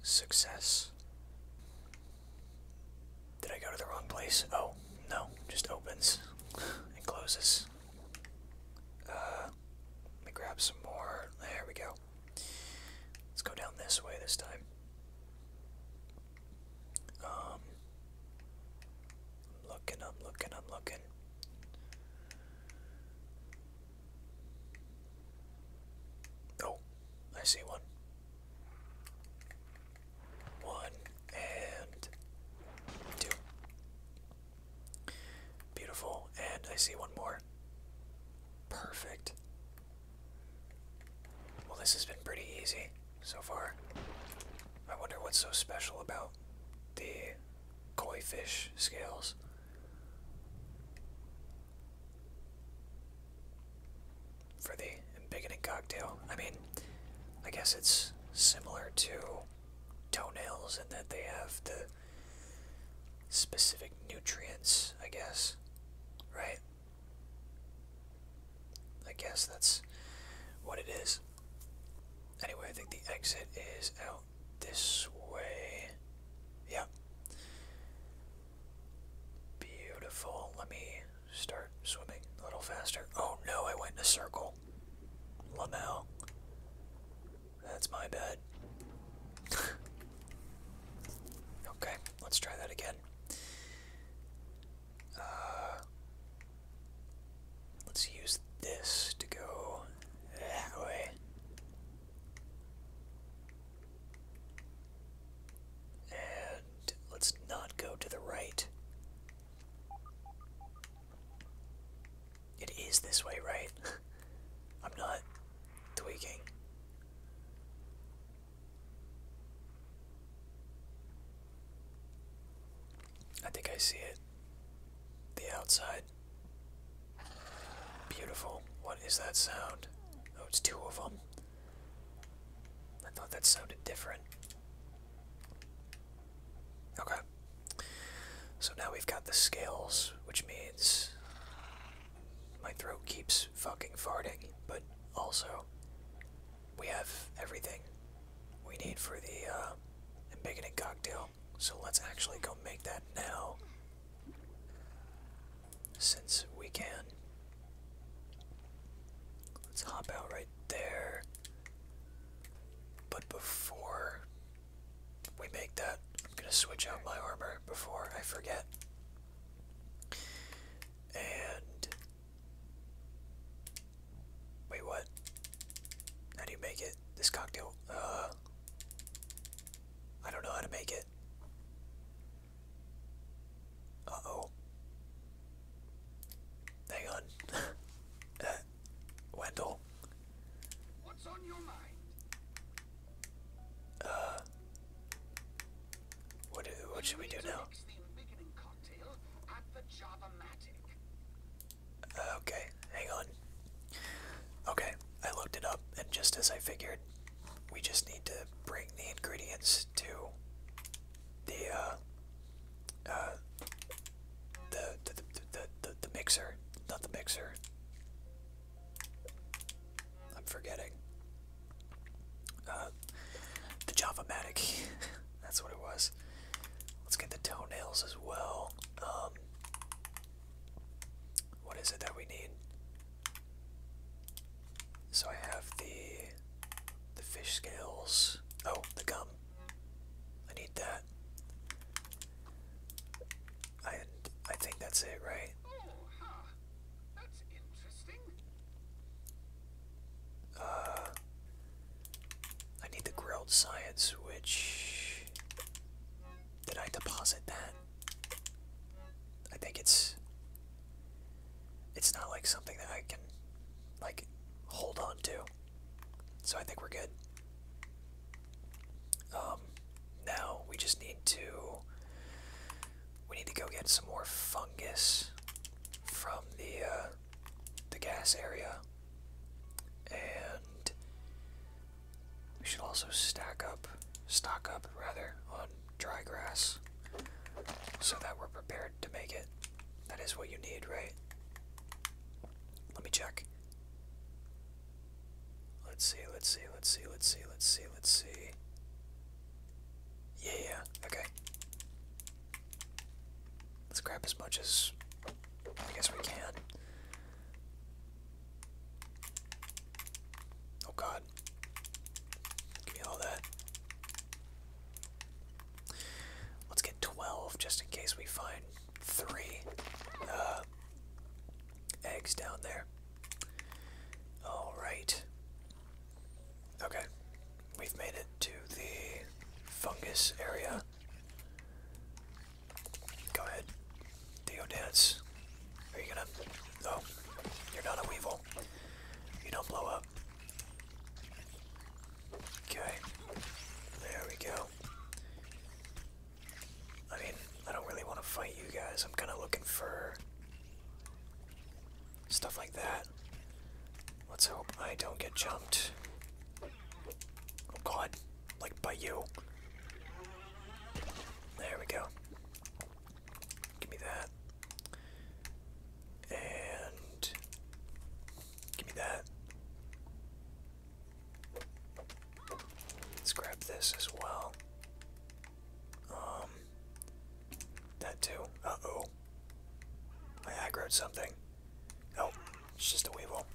Success. Did I go to the wrong place? Oh, no. Just opens and closes. Uh, let me grab some more. There we go. Let's go down this way this time. Um, looking, I'm looking, I'm looking. Oh, I see one. One and two. Beautiful, and I see one more. Perfect. Well, this has been pretty easy so far. I wonder what's so special about the koi fish scales. For the beginning cocktail. I mean, I guess it's similar to toenails in that they have the specific nutrients, I guess, right? I guess that's what it is. Anyway, I think the exit is out this way. Yeah. Beautiful. Let me start swimming a little faster. Oh no, I went in a circle. Lamell, That's my bad. [LAUGHS] okay, let's try that again. Uh, let's use this to go that way. And let's not go to the right. It is this way, right? [LAUGHS] I'm not tweaking. I think I see it. The outside. Beautiful. What is that sound? Oh, it's two of them. I thought that sounded different. Okay. So now we've got the scales, which means my throat keeps fucking farting, but also we have everything we need for the uh, embiggening cocktail. So let's actually go make that now. Since we can. Let's hop out right there. But before we make that, I'm going to switch out my armor before I forget. And Wait, what? How do you make it? This cocktail? Uh. I don't know how to make it. Uh oh. Hang on. [LAUGHS] uh, Wendell. What's on your mind? Uh. What, do, what should we do now? Uh, okay, hang on. Okay, I looked it up, and just as I figured, we just need to bring the ingredients to the uh, uh, the the the the, mixer, not the mixer. I'm forgetting. Uh, the Java Matic. [LAUGHS] That's what it was. Let's get the toenails as well. Um, what is it that we need? So I have the the fish scales. Oh, the gum. I need that. And I think that's it, right? Oh, I need the grilled science, which did I deposit that? I think it's it's not like something that I can like hold on to. So I think we're good. Um now we just need to we need to go get some more fungus from the uh the gas area. And we should also stack up, stock up rather, on dry grass so that we're prepared to make it. That is what you need, right? Let me check. Let's see, let's see, let's see, let's see, let's see, let's see. Yeah, yeah, okay. Let's grab as much as I guess we can. Oh god. Give me all that. Let's get 12 just in case we find three uh, eggs down there. Alright. Okay. We've made it to the fungus area. Go ahead. Theo dance. Are you gonna... Oh, you're not a Weevil. You don't blow up. Okay. There we go. I mean, I don't really want to fight you guys. I'm kind of looking for... Stuff like that. Let's hope I don't get jumped. Oh god like by you. There we go. Give me that. And give me that. Let's grab this as well. Um, that too. Uh oh. I aggroed something. Oh, it's just a Weevil.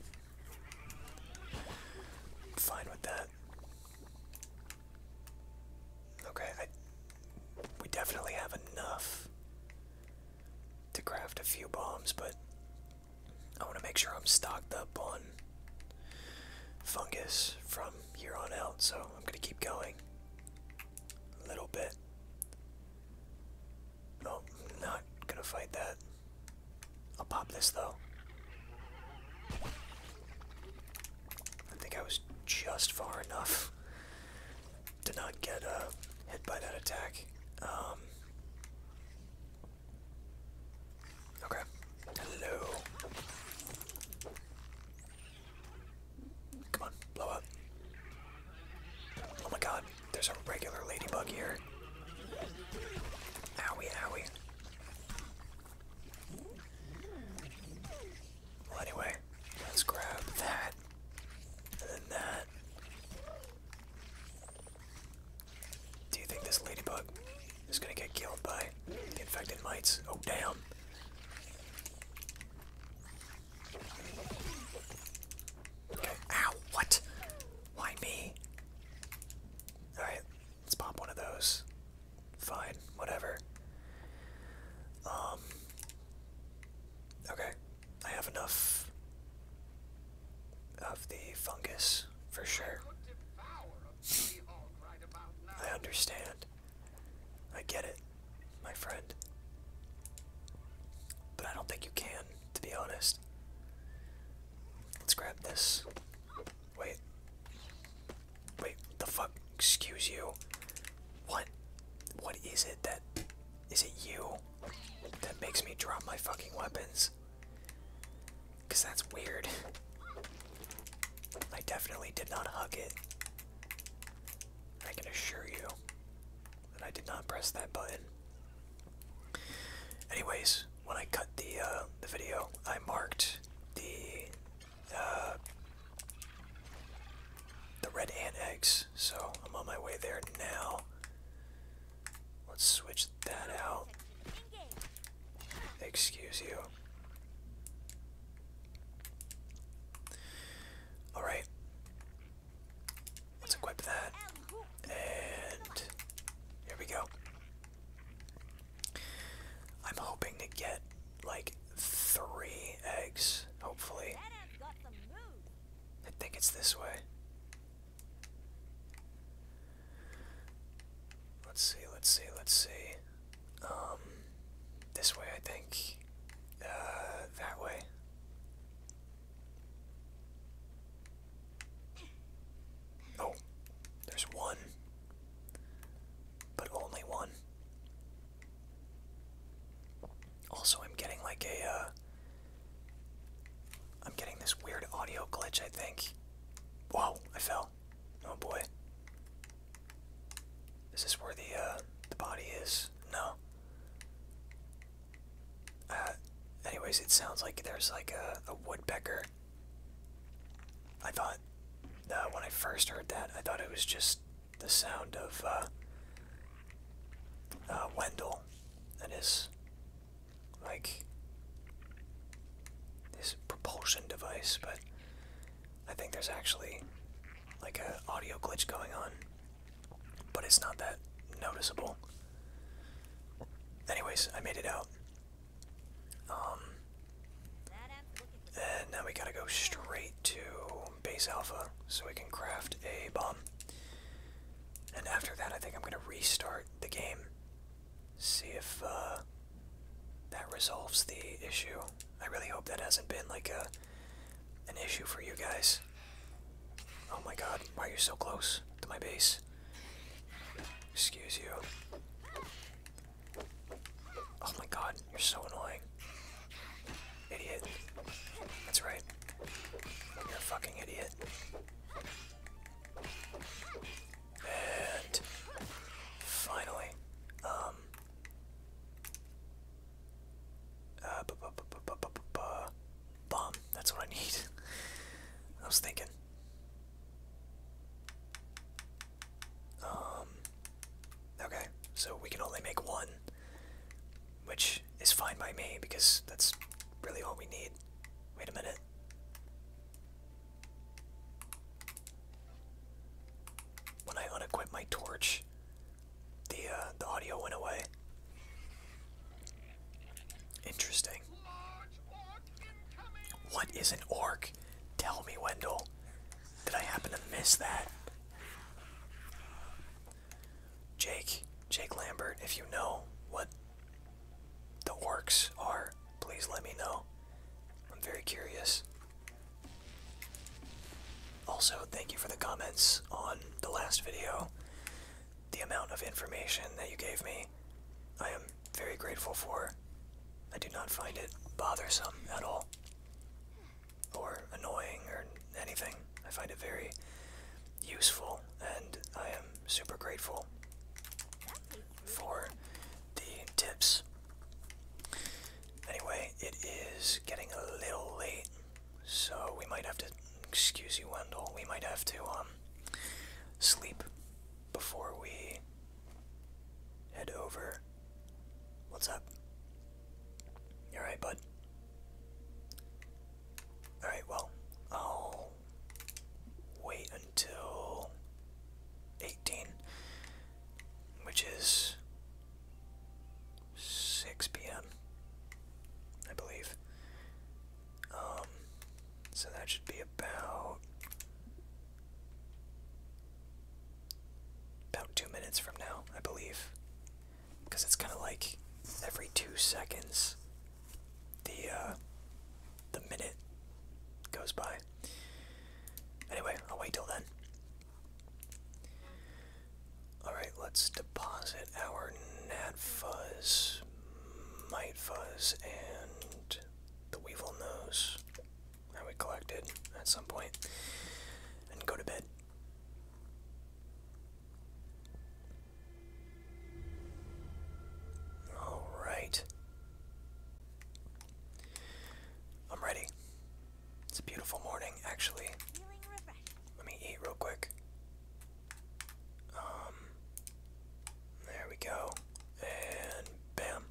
i fine with that. Okay, we definitely have enough to craft a few bombs, but I want to make sure I'm stocked up on fungus from here on out, so I'm going to keep going a little bit. No, not going to fight that. I'll pop this though. I think I was just far enough to not get uh, hit by that attack. Um, okay. Hello. Come on, blow up. Oh my god. There's a regular ladybug here. Owie, owie. Well, anyway, let's grab that. And that. Do you think this ladybug is gonna get killed by the infected mites? Oh, damn. Ow, what? Why me? Alright, let's pop one of those. Fine, whatever. Um, okay, I have enough of the fungus for sure. I understand. I get it, my friend. But I don't think you can, to be honest. Let's grab this. Wait. Wait, the fuck? Excuse you. What? What is it that. Is it you that makes me drop my fucking weapons? Because that's weird. I definitely did not hug it. I can assure you that I did not press that button. Anyways, when I cut the uh, the video, I marked the uh, the red ant eggs. So I'm on my way there now. Let's switch that out. Excuse you. All right. Let's equip that. And here we go. I'm hoping to get like three eggs, hopefully. I think it's this way. Let's see, let's see, let's see. Um, this way, I think. Uh, that way. No, there's one, but only one. Also, I'm getting like a, uh, I'm getting this weird audio glitch, I think. Whoa, I fell. Oh boy. Is this where the, uh, the body is? No. Uh, anyways, it sounds like there's like a, woodpecker. I thought, uh, when I first heard that, I thought it was just the sound of uh, uh Wendell and his, like, this propulsion device, but I think there's actually like an audio glitch going on, but it's not that noticeable. Anyways, I made it out. Um, and now we gotta go straight to base alpha so we can craft a bomb. And after that, I think I'm gonna restart the game. See if uh, that resolves the issue. I really hope that hasn't been like a an issue for you guys. Oh my god, why are you so close to my base? Excuse you. Oh my god, you're so annoying. Idiot. That's right. You're fucking idiot. And finally, um, uh, bu -bu -bu -bu -bu -bu -bu bomb. That's what I need. I was thinking. Um, okay, so we can only make one, which is fine by me because that's really all we need. Wait a minute. When I unequipped my torch, the uh, the audio went away. Interesting. What is an orc? Tell me, Wendell. Did I happen to miss that? Jake, Jake Lambert, if you know what the orcs are, please let me know. I'm very curious. Also, thank you for the comments on the last video the amount of information that you gave me. I am very grateful for. I do not find it bothersome at all, or annoying, or anything. I find it very useful, and I am super grateful for the tips. Anyway, it is getting a little late, so we might have to excuse you, Wendell. We might have to um sleep before we head over. What's up? You alright, bud? Alright, well, I'll wait until 18, which is 6 p.m., I believe. Um, so that should be about about two minutes from now, I believe, because it's kind of like every two seconds the uh, the minute goes by. Anyway, I'll wait till then. Alright, let's deposit our NADFuzz, MightFuzz, and the Weevil nose that we collected at some point and go to bed. Alright. I'm ready. It's a beautiful morning, actually. Let me eat real quick. Um, there we go. And bam.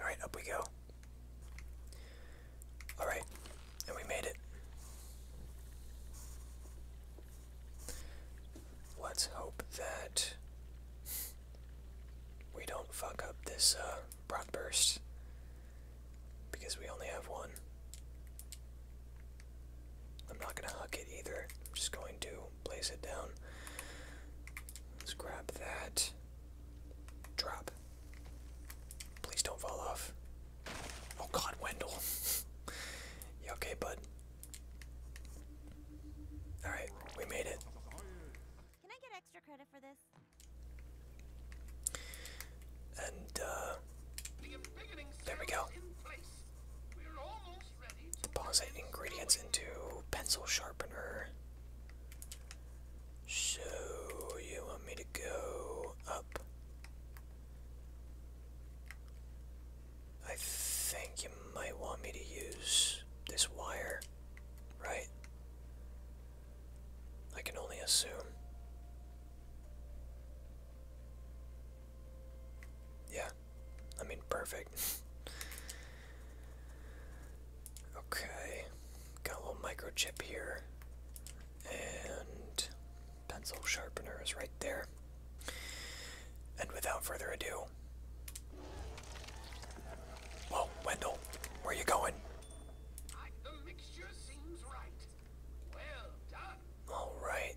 Alright, up we go. Alright, and we made it. Let's hope that we don't fuck up this uh, burst because we only have one. I'm not going to hook it either. I'm just going to place it down. Let's grab that. Drop. Please don't fall off. Oh god, Wendell. [LAUGHS] you okay, bud? Alright, we made it. Can I get extra credit for this? And, uh, there we go. Deposit ingredients into pencil sharpener. So you want me to go up? I think you might want me to use this wire, right? I can only assume. Yeah. I mean, perfect. okay, got a little microchip here, and pencil sharpener is right there. And without further ado, whoa, Wendell, where you going? All right.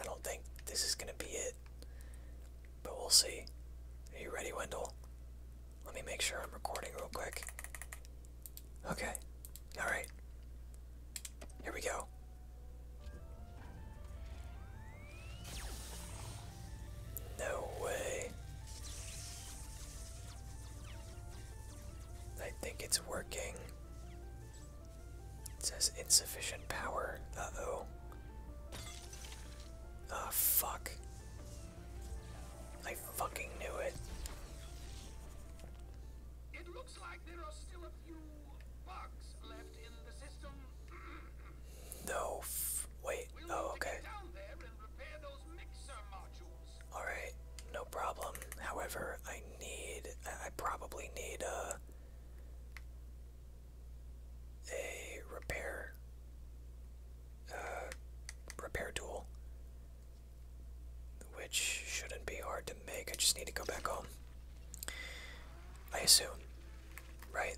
I don't think this is going to be it. But we'll see. Are you ready, Wendell? Let me make sure I'm recording real quick. Okay. Alright. Here we go. No way. I think it's working. It says insufficient power. Uh oh. Ah, fuck. I fucking knew it. no, wait. oh, okay. Alright, no problem. However, I need. I probably need, uh a repair uh, repair tool, which shouldn't be hard to make. I just need to go back home. I assume, right?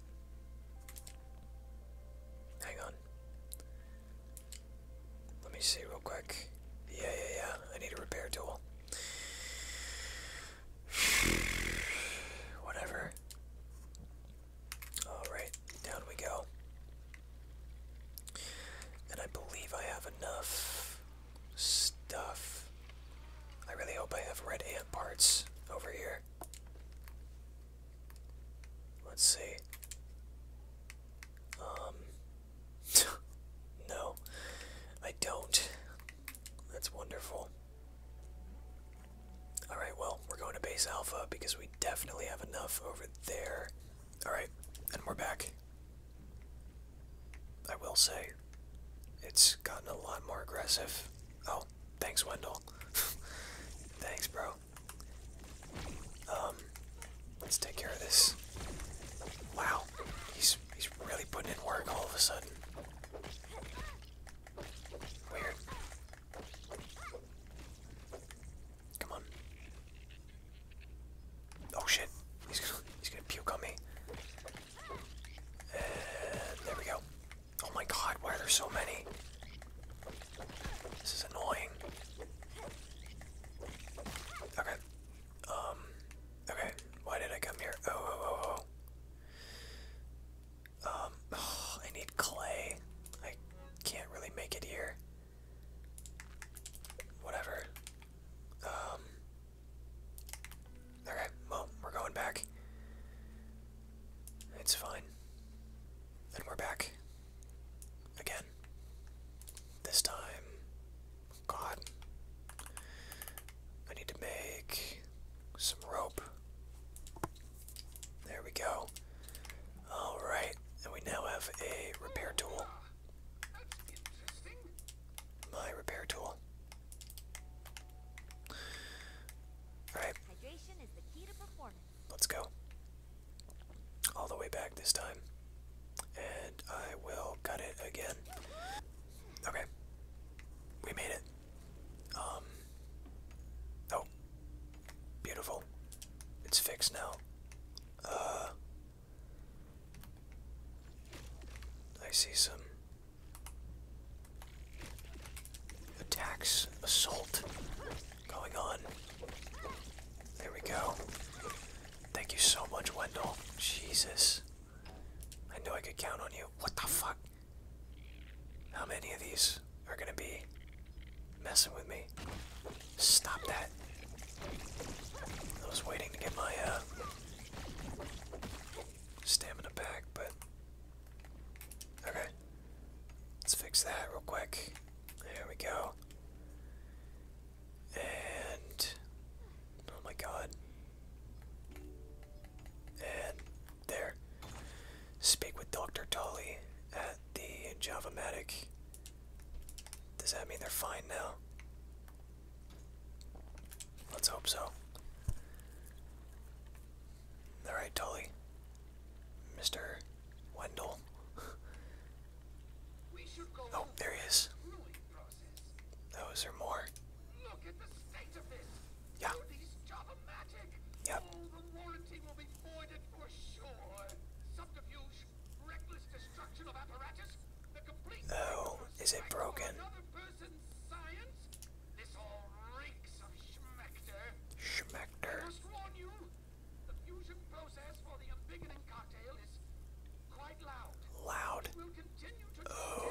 Hang on. Let me see real quick. Yeah, yeah, yeah. I need a repair tool. [SIGHS] Whatever. Alright, down we go. And I believe I have enough stuff. I really hope I have red ant parts over here. Let's see. Um. [LAUGHS] no, I don't. That's wonderful. Alright, well, we're going to base alpha because we definitely have enough over there. Alright, and we're back. I will say, it's gotten a lot more aggressive. Oh, thanks, Wendell. [LAUGHS] thanks, bro. Um, let's take care of this. Wow, he's he's really putting in work all of a sudden. Weird. Come on. Oh shit. He's gonna, he's gonna puke on me. Uh, there we go. Oh my god, why are there so many? This is annoying. Okay. Um. Okay. Why did I come here? Oh, oh, oh, oh. oh. Um, [SIGHS] I need clay. I can't really make it here. Whatever. Um. Alright, well, we're going back. It's fine. And we're back. Again. This time. God. I need to make some rope. There we go. Alright, and we now have a repair tool. My repair tool. Alright. Let's go. All the way back this time. And I will cut it again. Okay. We made it. Um. Oh. Beautiful. It's fixed now. Uh. I see some attacks, assault going on. There we go. Thank you so much, Wendell. Jesus. I knew I could count on you. What the fuck? How many of these are gonna be messing with me? Stop that. I was waiting to get my uh, stamina back, but. Okay. Let's fix that real quick. There we go. And. Oh my god. And there. Speak with Dr. Tully at the Javamatic. Does that mean they're fine now? Let's hope so. Alright, Tully. Mr. Wendell. oh, there he is. Oh, is more? Look at the state of this. Yeah. These job o Oh, the warranty will be voided for sure. Subterfuge, reckless destruction of apparatus, the complete... Oh, is it broken? Another person's science? This all reeks of schmecter. Schmecter. I warn you, the fusion process for the Ambigonin cocktail is quite loud. Loud. oh.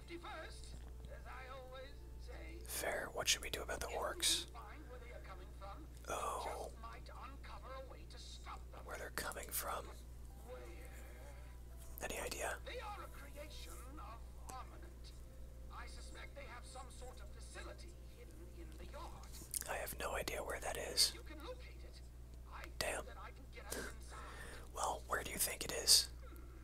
Fair. What should we do about the orcs? Oh. Where they're coming from. Any idea? They are a creation of I they have some sort I have no idea where that is. Damn. well, where do you think it is? Hmm.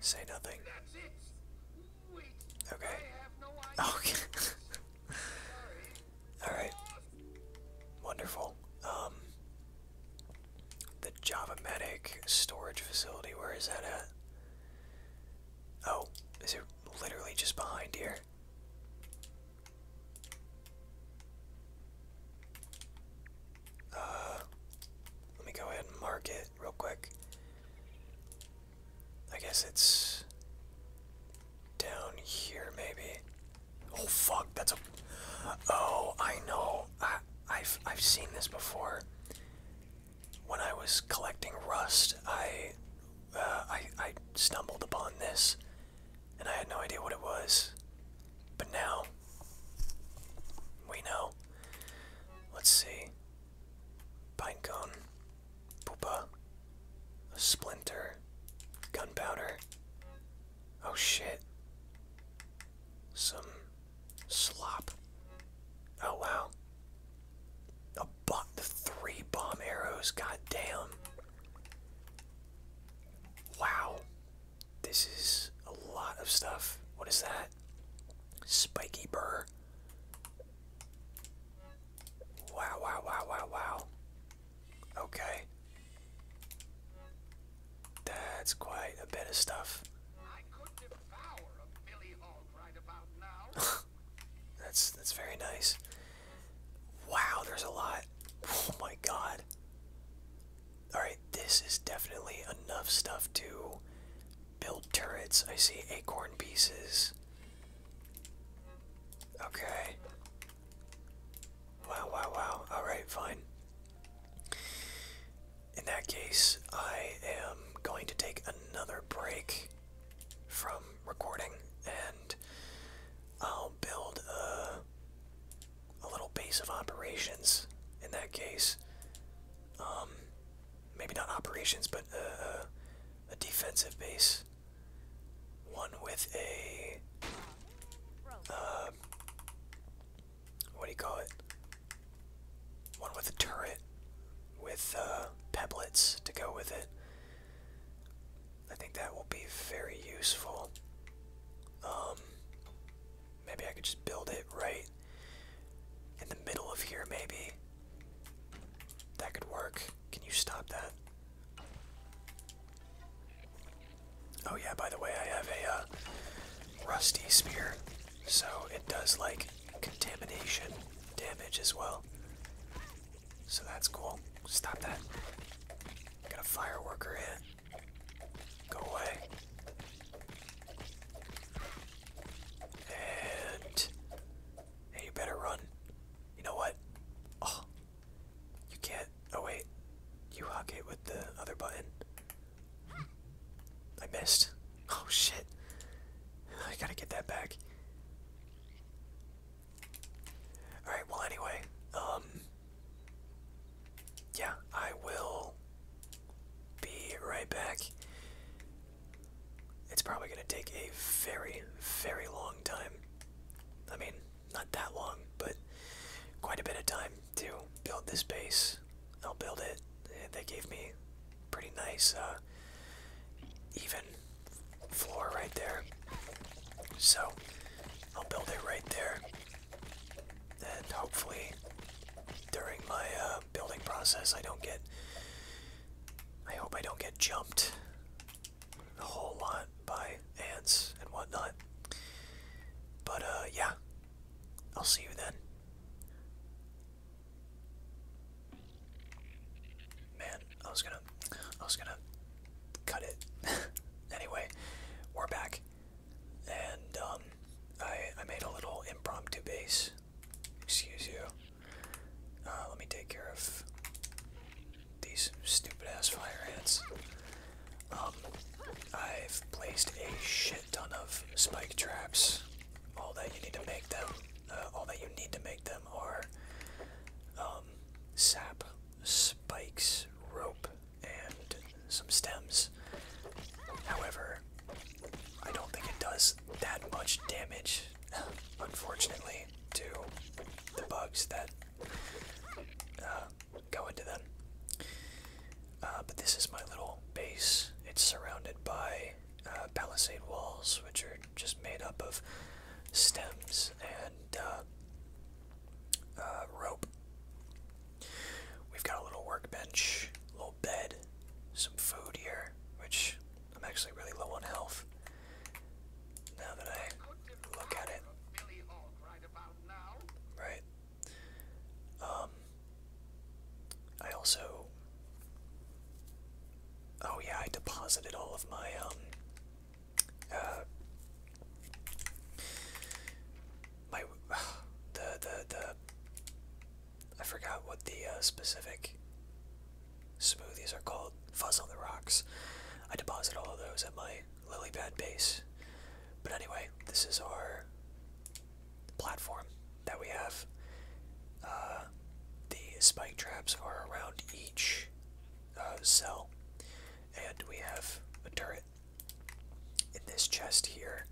Say nothing. Okay. Okay. [LAUGHS] Alright. Wonderful. Um the Java Medic storage facility, where is that at? Oh, is it literally just behind here? Uh, let me go ahead and mark it real quick. I guess it's down here, maybe. Oh fuck, that's a. Oh, I know. I, have I've seen this before. When I was collecting rust, I, uh, I I stumbled upon this, and I had no idea what it was. But now we know. Let's see. Pine Poopa. A splinter. Gunpowder. Oh shit. Some slop. Oh wow. A bot the three bomb arrows, God damn! Wow. This is a lot of stuff. What is that? Spiky burr. Wow, wow, wow, wow, wow. Okay. That's quite a bit of stuff. [LAUGHS] that's that's very nice. Wow, there's a lot. Oh my god. Alright, this is definitely enough stuff to Build turrets. I see acorn pieces. Okay. Wow, wow, wow. Alright, fine. In that case, I am going to take another break from recording and I'll build a, a little base of operations in that case. Um, maybe not operations, but a defensive base. One with a uh, what do you call it? One with a turret with uh, pebblets to go with it. I think that will be very useful. Um, Maybe I could just build it right in the middle of here, maybe. That could work. Can you stop that? Oh, yeah, by the way, I have a uh, rusty spear, so it does like contamination damage as well. So that's cool. Stop that. Got a fire in. Go away. And you better run. You know what? Oh, you can't. Oh wait, you hug it with the other button. I missed. Oh shit! I gotta get that back. All right. Well, anyway, um, yeah, I will be right back. It's probably going to take a very, very long time. I mean, not that long, but quite a bit of time to build this base. I'll build it. They gave me pretty nice, uh, even floor right there. So, I'll build it right there. And hopefully, during my, uh, building process. I don't get. I hope I don't get jumped a whole lot by ants and whatnot. But, uh, yeah. I'll see you then. Man, I was gonna. I was gonna cut it. [LAUGHS] anyway, we're back. And, um, I, I made a little impromptu base Excuse you. Uh, let me take care of these stupid ass fire ants. Um, I've placed a shit ton of spike traps. All that you need to make them, uh, all that you need to make them are um, sap, spikes, rope, and some stems. However, I don't think it does that much damage, unfortunately, to the bugs that uh, go into them. Uh, but this is my little base. It's surrounded by uh, palisade walls, which are just made up of stems and rope. We've got a little workbench bed, some food here, which I'm actually really low on health. Now that I look at it, right? Um, I also. Oh yeah, I deposited all of my um. Uh, my [SIGHS] the the the I forgot what the uh, specific smoothies are called. Fuzz on the rocks. I deposit all of those at my lily pad base. But anyway, this is our platform that we have. Uh, the spike traps are around each uh, cell, and we have a turret. In this chest here,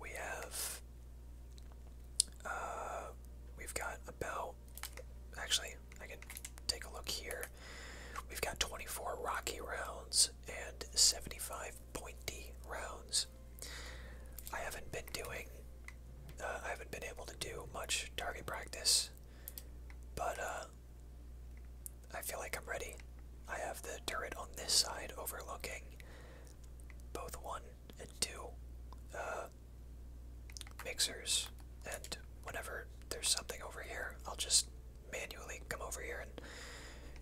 we have uh, we've got about. Actually, I can take a look here. We've got 24 rocky rounds and 75 pointy rounds. I haven't been doing. Uh, I haven't been able to do much target practice, but uh, I feel like I'm ready. I have the turret on this side overlooking both one and two uh, mixers. And whenever there's something over here, I'll just manually come over here and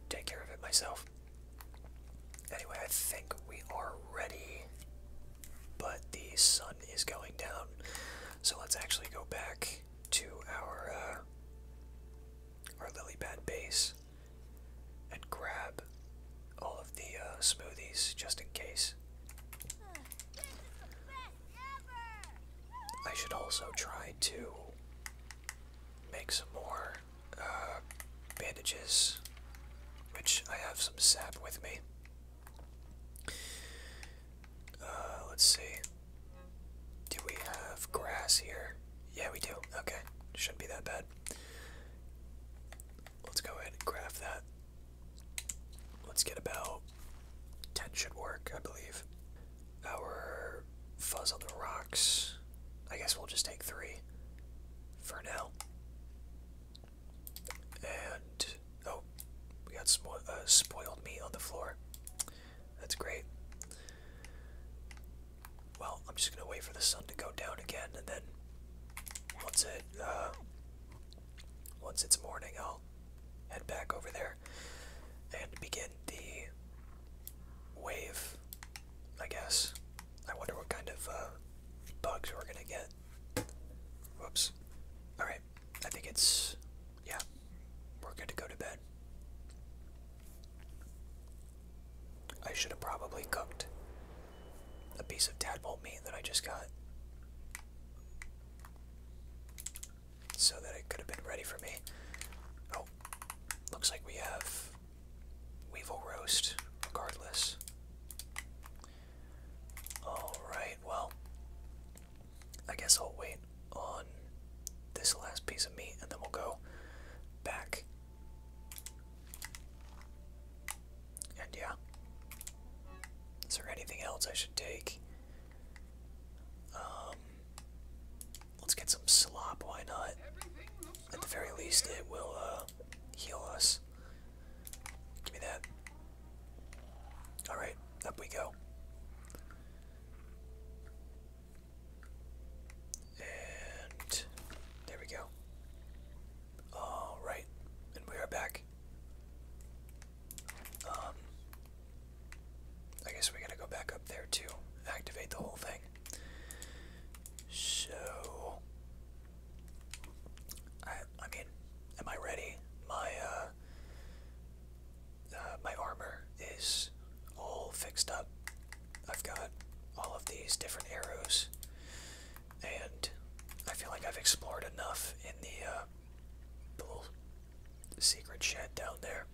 take care of it myself. Anyway, I think we are ready, but the sun is going down. So let's actually go back to our uh, our lily pad base and grab all of the uh, smoothies just in case. I should also try to make some more uh, bandages, which I have some sap with me. Uh, let's see. Do we have grass here? Yeah, we do. Okay, shouldn't be that bad. Let's go ahead and graph that. Let's get about 10 should work, I believe. Our fuzz on the rocks. I guess we'll just take three for now. And, oh, we got some uh, spoiled meat on the floor. That's great. Well, I'm just going to wait for the sun to go down again, and then once it uh, once it's morning, I'll head back over there and begin the wave. I guess. I wonder what kind of uh, bugs we're gonna get. Whoops. All right. I think it's yeah. We're going to go to bed. I should have probably cooked a piece of tadpole meat that I just got so that it could have been ready for me. Oh, looks like we have weevil roast regardless. Alright, well, I guess I'll wait on this last piece of meat and then we'll go back and yeah. Is there anything else I should take? Um, let's get some slop, why not? At the very least, it will uh, heal us. Give me that. Alright, up we go. And there we go. All right, and we are back. Um, I guess we gotta go back up there to activate the whole thing. So, I, I mean, am I ready? My uh, uh my armor is all fixed up. I've got all of these different arrows and I feel like I've explored enough in uh, the, little secret shed down there.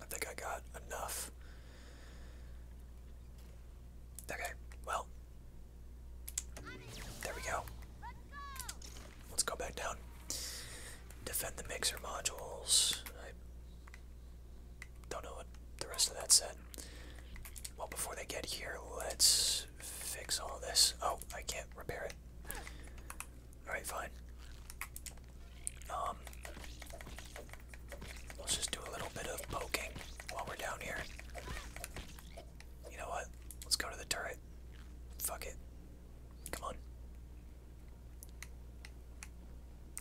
I think I got enough. Okay, well, there we go. Let's go back down. Defend the mixer modules. Don't know what the rest of that said. Well, before they get here, let's fix all this. Oh, I can't repair it. Alright, fine. Um, let's just do a little bit of poking while we're down here. You know what? Let's go to the turret. Fuck it. Come on.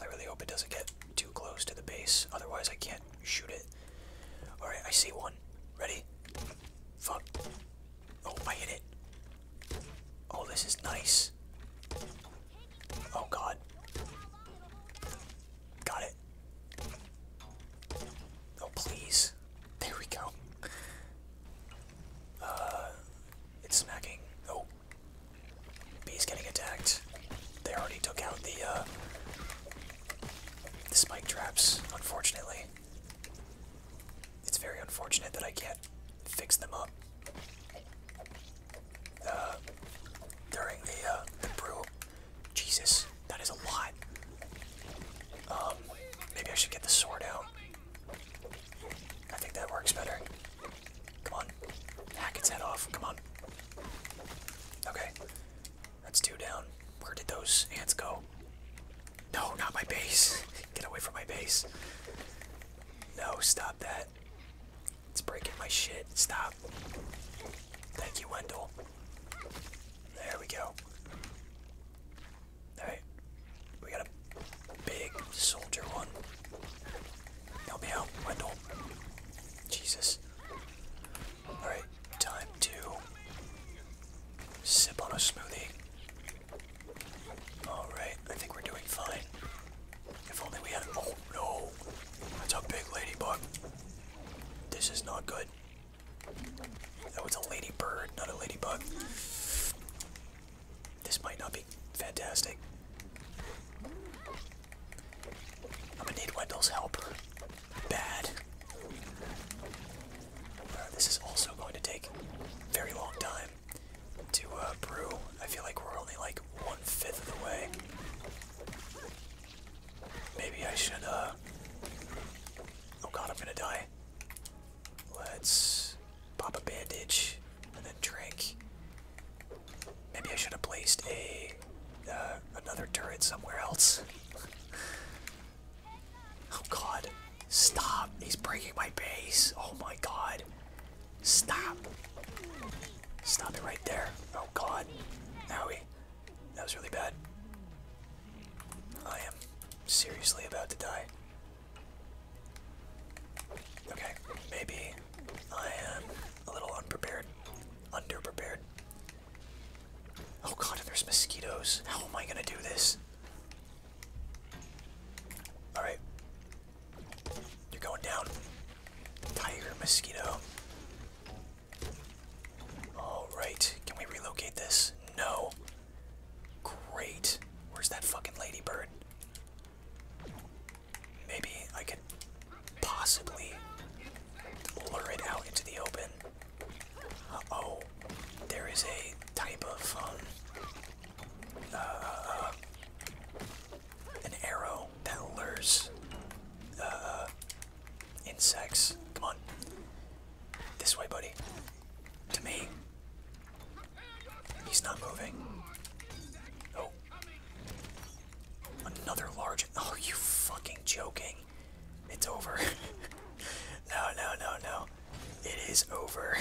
I really hope it doesn't get too close to the base, otherwise I can't Shoot it. Alright, I see one. Ready? Fuck. Oh, I hit it. Oh, this is nice. Oh, God. Got it. Oh, please. There we go. Uh, it's smacking. Oh. Bee's getting attacked. They already took out the, uh, the spike traps, unfortunately. It's very unfortunate that I can't fix them up uh, during the, uh, the brew. Jesus, that is a lot. Um, maybe I should get the sword out. I think that works better. Come on. Hack its head off. Come on. Okay. That's two down. Where did those ants go? No, not my base. [LAUGHS] Get away from my base. No, stop that. It's breaking my shit. Stop. Thank you, Wendell. There we go. Alright. We got a big soldier one. Help me out, Wendell. Jesus. Alright, time to sip on a smoothie. Alright, I think we're doing fine. If only we had. Oh no! That's a big ladybug. This is not good. That was a ladybird, not a ladybug. This might not be fantastic. I'm gonna need Wendell's help bad. Uh, this is also going to take very long time to uh, brew. I feel like we're only like one fifth of the way. Maybe I should, uh, Oh god, I'm gonna die. Let's pop a bandage and then drink. Maybe I should have placed a uh, another turret somewhere else. oh god. Stop. He's breaking my base. Oh my god. Stop. Stop it right there. Oh god. now we That was really bad. I am seriously about to die. Okay, maybe I am a little unprepared. Underprepared. Oh god, there's mosquitoes. How am I gonna do this? Alright. You're going down. Tiger mosquito. Alright. Can we relocate this? No. Great. Where's that fucking ladybird? Maybe I could possibly lure it out into the open. Oh, there is a type of um, uh, an arrow that lures uh, insects. Come on, this way, buddy. To me, he's not moving. Oh, another large. Oh, you fucking joking? It's over. [LAUGHS] no, no, no, no. It is over.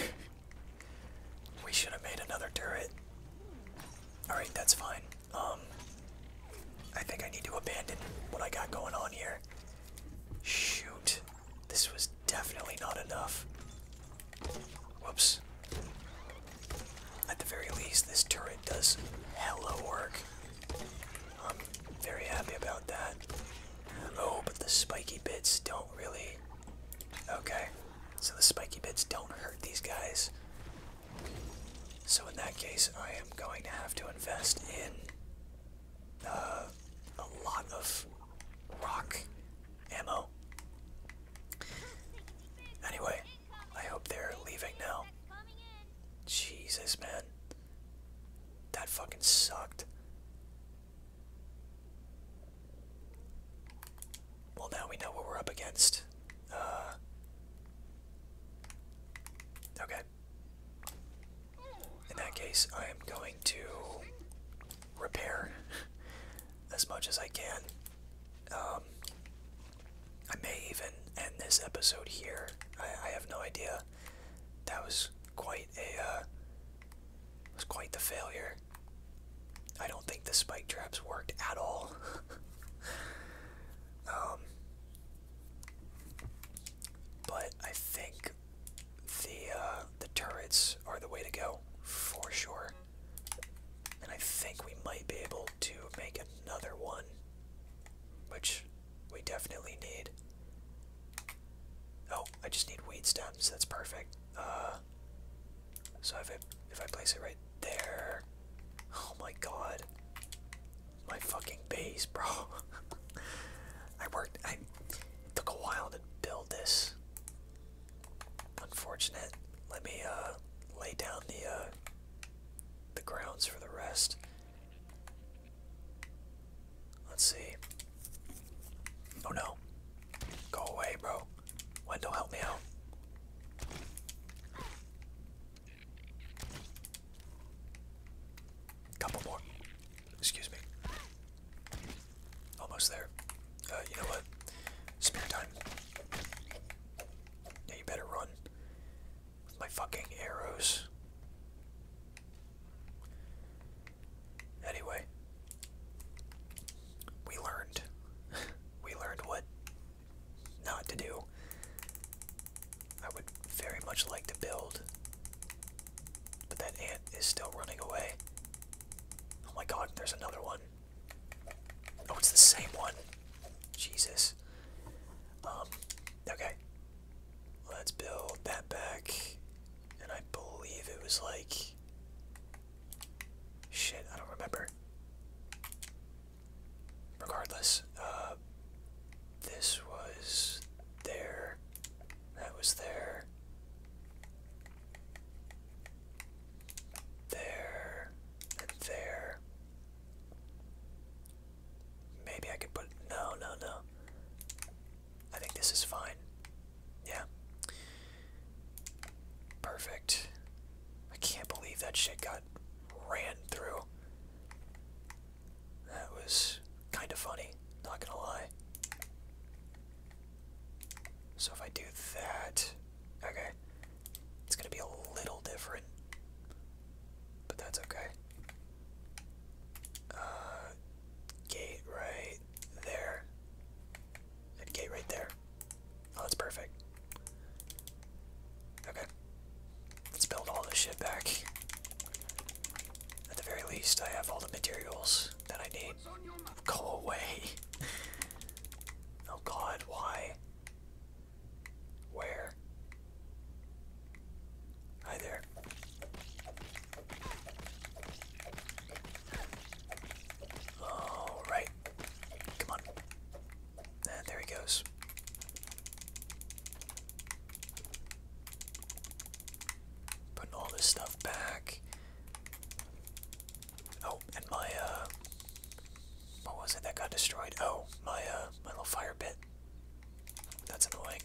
we should have made another turret. Alright, that's fine. Um, I think I need to abandon what I got going on here. Shoot. This was definitely not enough. Whoops. At the very least, this turret does hella work. I'm very happy about that. Oh, but the spiky bits don't really. Okay, so the spiky bits don't hurt these guys. So in that case, I am going to have to invest in uh, a lot of rock ammo. Anyway, I hope they're leaving now. Jesus, man. That fucking sucked. Well, now we know what we're up against. Uh, okay. In that case, I am going to repair [LAUGHS] as much as I can. Um, I may even end this episode here. I have no idea that was quite a uh, was quite the failure. I don't think the spike traps worked at all. [LAUGHS] Um, but I think the uh, the turrets are the way to go for sure. And I think we might be able to make another one, which we definitely need. Oh, I just need weed stems. That's perfect. Uh, so if I if I place it right there, oh my god, my fucking base, bro. [LAUGHS] I worked. I took a while to build this. Unfortunate. Let me uh lay down the uh the grounds for the rest. Let's see. Oh no. Go away, bro. Wendell, help me out. Couple more. Excuse me. Almost there. Uh, you know what? Spear time. Yeah, you better run. My fucking arrows. Anyway, we learned. [LAUGHS] we learned what not to do. I would very much like to build, but that ant is still running away. Oh my god, there's another one. Oh, it's the same one. Jesus. Um, okay. Let's build that back. And I believe it was like. Shit, I don't remember. Regardless, uh, this was there. That was there. There. there. Maybe I could put no, no, no. I think this is fine. Yeah. Perfect. I can't believe that shit got ran through. That was kind of funny, not gonna lie. So if I do that, okay, it's gonna be a little different, but that's okay. Uh, gate right there. gate right there. Oh, that's perfect. Okay. Let's build all this shit back. At the very least, I have all the materials that I need. Go away. [LAUGHS] oh god, why? Where? Hi there. All right. Come on. And ah, there he goes. Putting all this stuff back. Oh, and my uh what was it that got destroyed? Oh, my uh my little fire bit. That's annoying.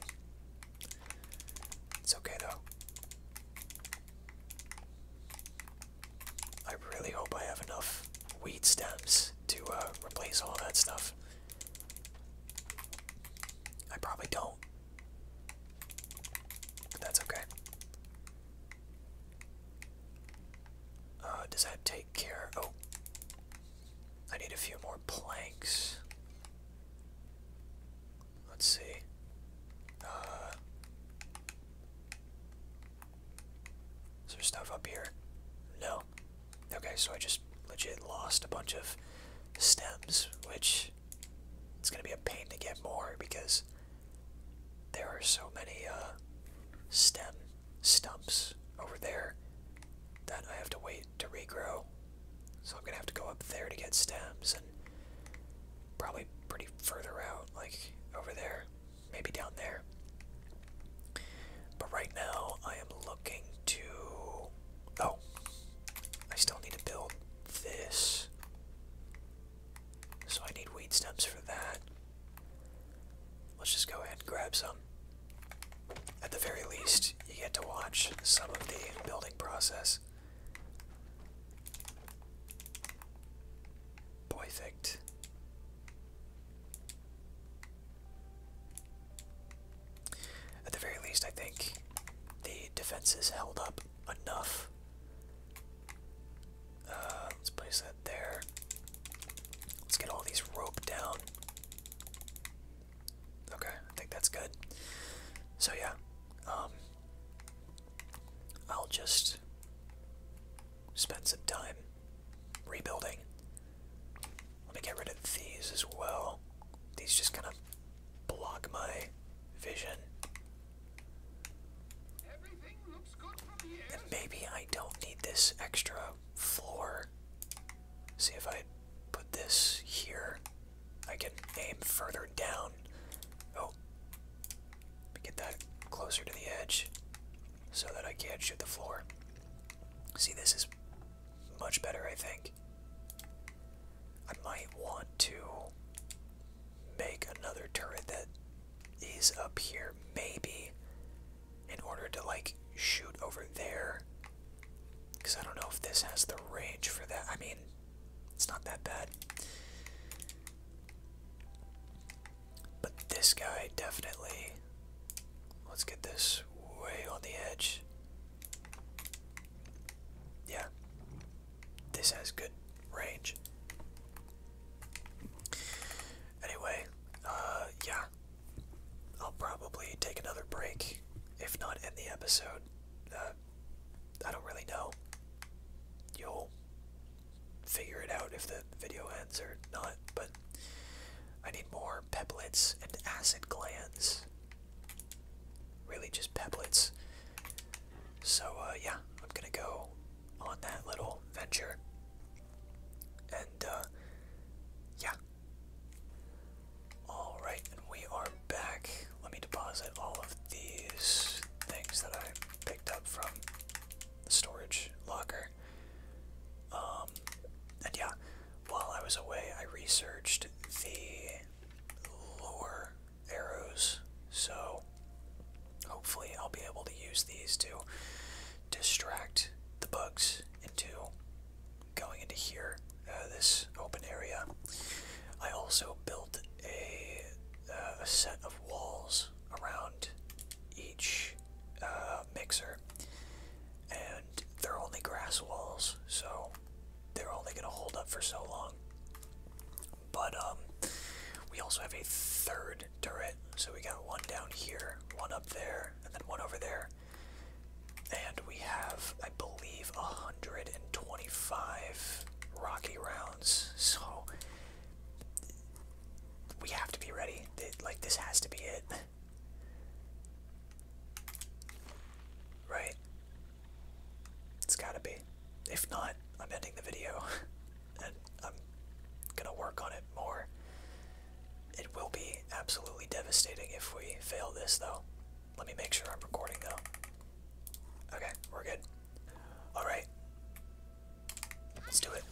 It's okay though. I really hope I have enough weed stems to uh, replace all that stuff. I probably don't. But that's okay. Uh, does that take care? Oh, I need a few more planks. Let's see. Uh, is there stuff up here? No. Okay, so I just legit lost a bunch of stems, which it's going to be a pain to get more because there are so many uh, stem stumps over there that I have to wait to regrow. So I'm gonna have to go up there to get stems and probably pretty further out, like over there, maybe down there. But right now I am looking to oh I still need to build this. So I need weed stems for that. Let's just go ahead and grab some. At the very least, you get to watch some of the building process. Perfect. At the very least, I think the defenses held up enough. Uh, let's place that there. Let's get all these rope down. Okay, I think that's good. So yeah, um, I'll just spend some time rebuilding. Let me get rid of these as well. These just kind of block my vision. maybe I don't need this extra floor See if I put this here. I can aim further down. Oh, get that closer to the edge so that I can't shoot the floor. See, this is much better, I think. I might want to make another turret that is up here, maybe, in order to, like, shoot over there because I don't know if this has the range for that. I mean, it's not that bad. But this guy definitely. Let's get this way on the edge. Yeah. This has good range. Anyway, uh, yeah. I'll probably take another break, if not end the episode. I don't really know. You'll figure it out if the video ends or not, but I need more peplets and acid glands. Really just peplets. So uh, yeah, I'm gonna go on that little venture. And uh, yeah, Alright, and we are back. Let me deposit all of these things that I picked up from the storage locker. Um, and yeah, while I was away, I researched the lure arrows, so hopefully I'll be able to use these to distract the bugs into going into here, uh, this open area, I also built a, uh, set of walls around each uh, mixer, and they're only grass walls, so they're only going to hold up for so long. But um, we also have a third turret, so we got one down here, one up there, and then one over there. And we have, I believe, 125 Rocky rounds. So we have to be ready. Like, this has to be it. Right? It's gotta be. If not, I'm ending the video. [LAUGHS] And I'm gonna work on it more. It will be absolutely devastating if we fail this, though. Let me make sure I'm recording though. Okay, we're good. Alright. Let's do it.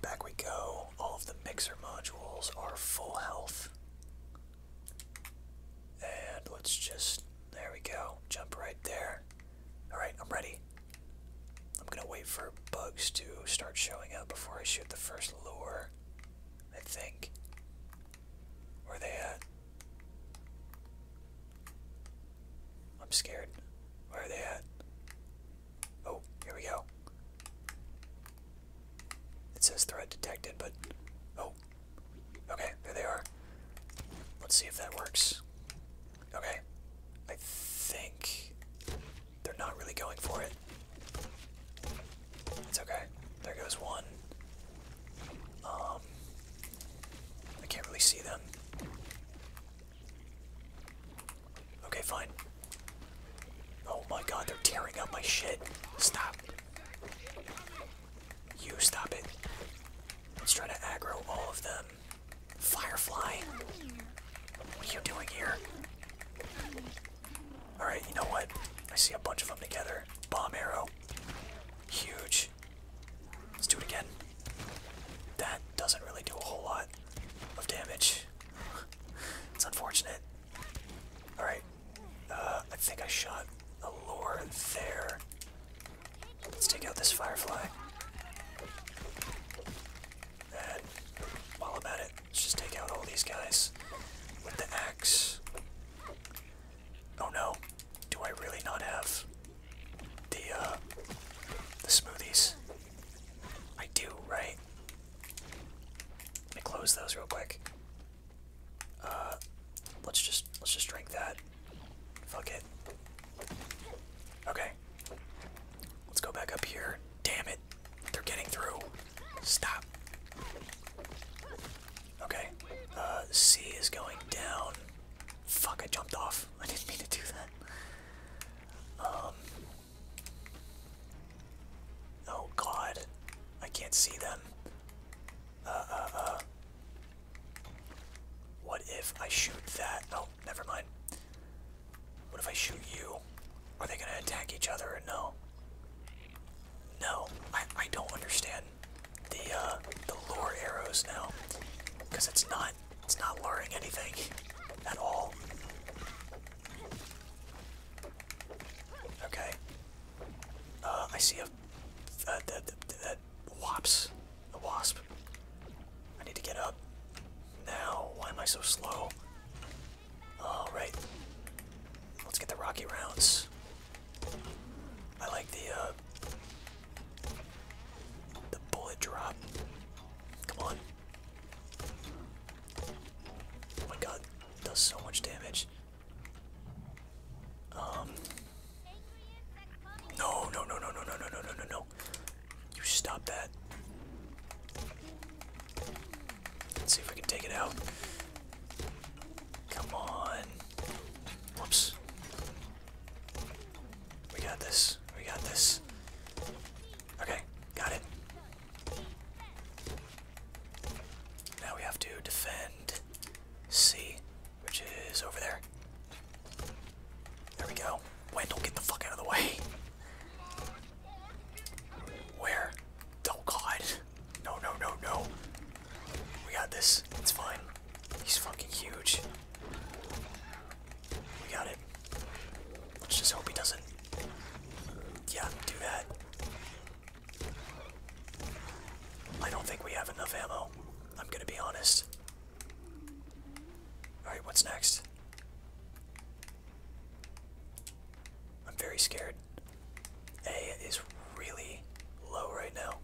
Back we go. All of the mixer modules are full health. And let's just, there we go. Jump right there. Alright, I'm ready. I'm gonna wait for bugs to start showing up before I shoot the first lure, I think. Where are they at? I'm scared. Where are they at? Oh, here we go. It says threat detected, but. Oh. Okay, there they are. Let's see if that works. Okay. I think they're not really going for it. It's okay. There goes one. Um, I can't really see them. Okay, fine. Oh my god, they're tearing up my shit. Stop. You stop it. Let's try to aggro all of them. Firefly! What are you doing here? Alright, you know what? I see a bunch of them together. Bomb arrow. Huge. Let's do it again. That doesn't really do a whole lot of damage. [LAUGHS] it's unfortunate. Alright. Uh, I think I shot a lure there. Let's take out this firefly. And while i it, let's just take out all these guys with the axe. Oh no, do I really not have the uh, the smoothies? I do, right? Let me close those real quick. Uh let's just let's just drink that. Fuck it. Okay. Let's go back up here. Damn it. They're getting through. Stop. Okay. Uh, C is going down. Fuck, I jumped off. [LAUGHS] I didn't mean to do that. Um. Oh god. I can't see them. Uh, uh, uh, What if I shoot that? Oh, never mind. What if I shoot you? Are they gonna attack each other or no? No, I, I don't understand the uh, the lure arrows now, because it's not it's not luring anything at all. Okay. Uh, I see a uh, that that wasp, a wasp. I need to get up. Now, why am I so slow? All right. Let's get the rocky rounds. I like the the bullet drop. Come on. Oh my god, does so much damage. Um no no no no no no no no no no. You stop that. Let's see if we can take it out. Come on. Whoops. We got this. We got this. Okay, got it. Now we have to defend C, which is over there. There we go. Wendell, get the fuck out of the way. Where? Oh god. No, no, no, no. We got this. It's fine. He's fucking huge. We got it. Let's just hope he doesn't. Yeah, do that. I don't think we have enough ammo. I'm gonna be honest. Alright, what's next? I'm very scared. A is really low right now.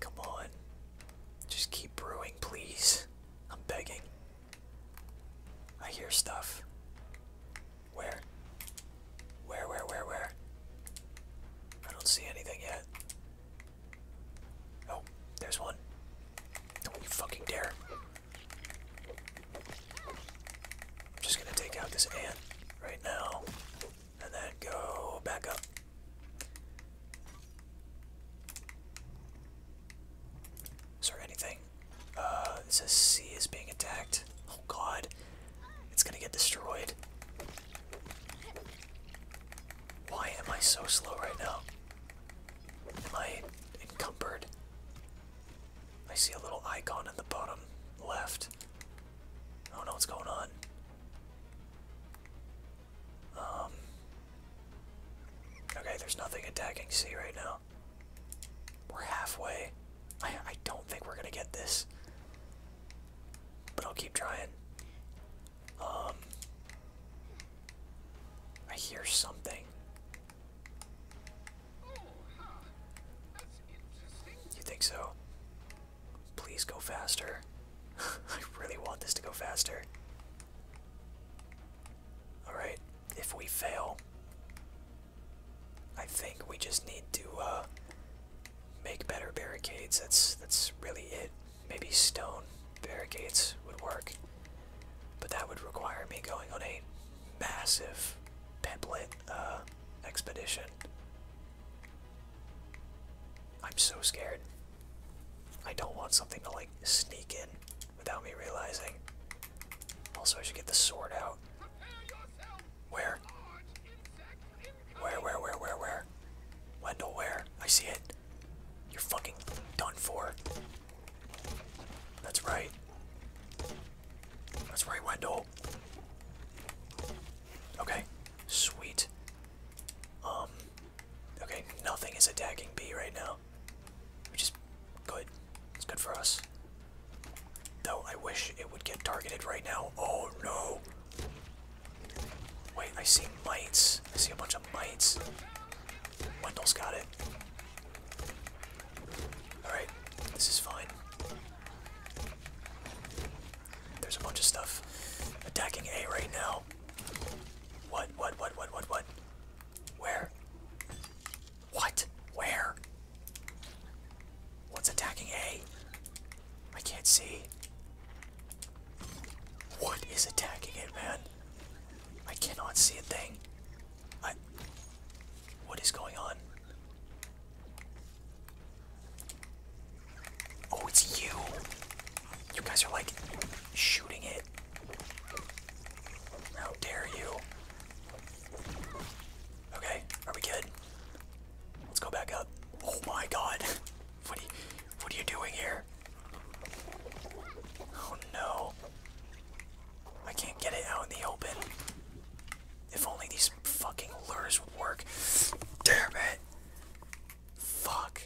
Come on. Just keep brewing, please. I'm begging. I hear stuff. Where? Where, where, where, where? I don't see anything yet. Oh, there's one. Don't you fucking dare. I'm just gonna take out this ant right now. And then go back up. Is there anything? Uh, it says C is being attacked. Oh god. It's gonna get destroyed. Why am I so slow right now? Am I encumbered? I see a little icon in the bottom left. I don't know what's going on. Um. Okay, there's nothing attacking C right now. We're halfway. I, I don't think we're gonna get this. But I'll keep trying. Um. I hear something. You think so? Please go faster. [LAUGHS] I really want this to go faster. Alright, if we fail, I think we just need to uh, make better barricades. That's, that's really it. Maybe stone barricades would work. But that would require me going on a massive pamphlet uh, expedition. I'm so scared. I don't want something to like sneak in without me realizing. Also, I should get the sword out. Where? Where, where, where, where, where? Wendell, where? I see it. You're fucking done for. That's right. That's right, Wendell. Okay, sweet. Um, okay, nothing is attacking me right now, which is good. It's good for us. Though I wish it would get targeted right now. Oh no! Wait, I see mites. I see a bunch of mites. Wendell's got it. Alright, this is fine. There's a bunch of stuff attacking A right now. What, what, what, what, what, what? Where? What? Where? What's attacking A? I can't see. What is attacking it, man? I cannot see a thing what is going on? Oh, it's you. You guys are like shooting it. How dare you? Okay, are we good? Let's go back up. Oh my god. What are you, what are you doing here? Oh no. I can't get it out in the open. If only these fucking lures would work. Damn it! Fuck.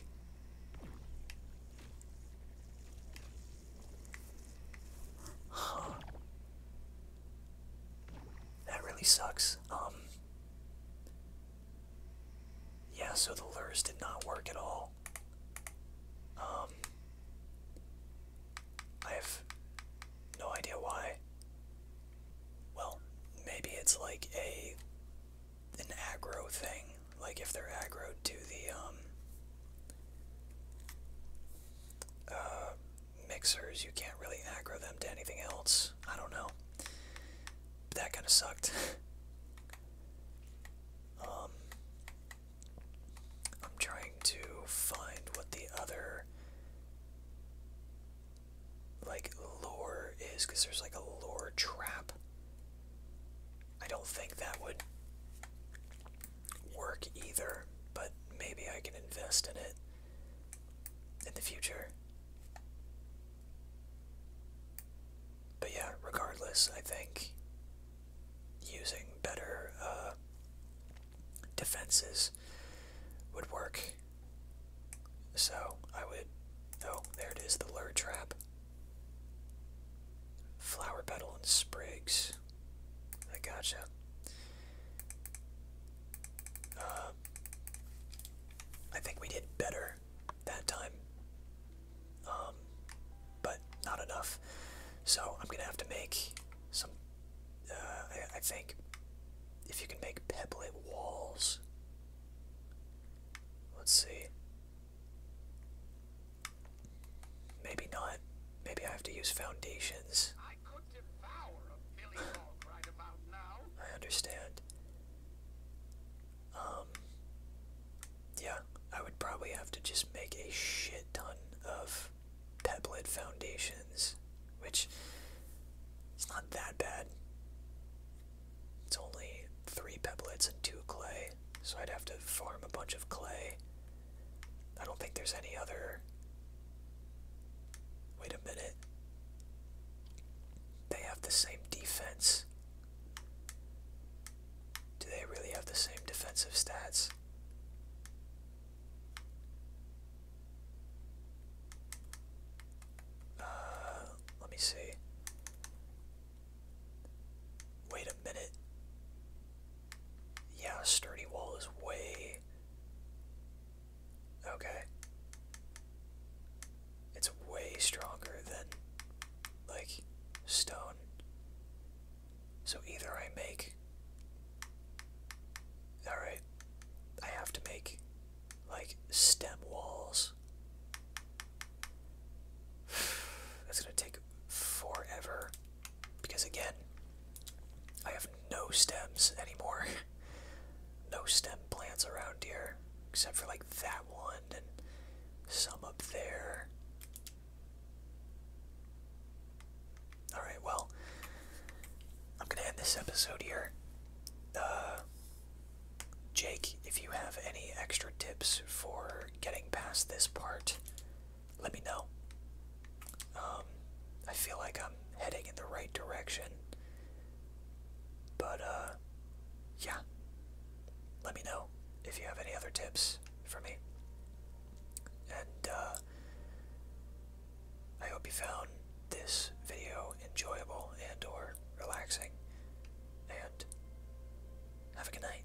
That really sucks. Um. Yeah, so the lures did not work at all. Um. I have no idea why. Well, maybe it's like a an aggro thing, like if they're aggro to the um uh, mixers, you can't really aggro them to anything else. I don't know. that kind of sucked. [LAUGHS] Um, I'm trying to find what the other like lore is because there's like a lore trap. I don't think that would work either, but maybe I can invest in it in the future. But yeah, regardless, I think using better uh, defenses would work. So I would. Oh, there it is the lure trap. Flower petal and sprigs. I gotcha. Uh, I think we did better that time. Um, but not enough. So I'm gonna have to make some uh, I, think if you can make pebble walls, let's see. Maybe not. Maybe I have to use foundations. I could devour a Billy Dog right about now. I understand. Um. Yeah, I would probably have to just make a shit ton of Peblet Foundations, which it's not that bad. It's only three pebbles and two clay, so I'd have to farm a bunch of clay. I don't think there's any other. Wait a minute. They have the same defense. Do they really have the same defensive stats? Uh, let me see. Wait a minute. Yeah, sturdy wall is way. Okay. It's way stronger than, like, stone. So either I make. Alright. I have to make, like, stem walls. [SIGHS] That's gonna take forever. Because again, I have no stems anymore. [LAUGHS] no stem plants around here. Except for, like, that one and some up there. Alright, well, I'm going to end this episode here. Uh, Jake, if you have any extra tips for getting past this part, let me know. Um, I feel like I'm heading in the right direction. But, uh, yeah. Let me know if you have any other tips for me. And, uh, I hope you found this video enjoyable and or relaxing and have a good night.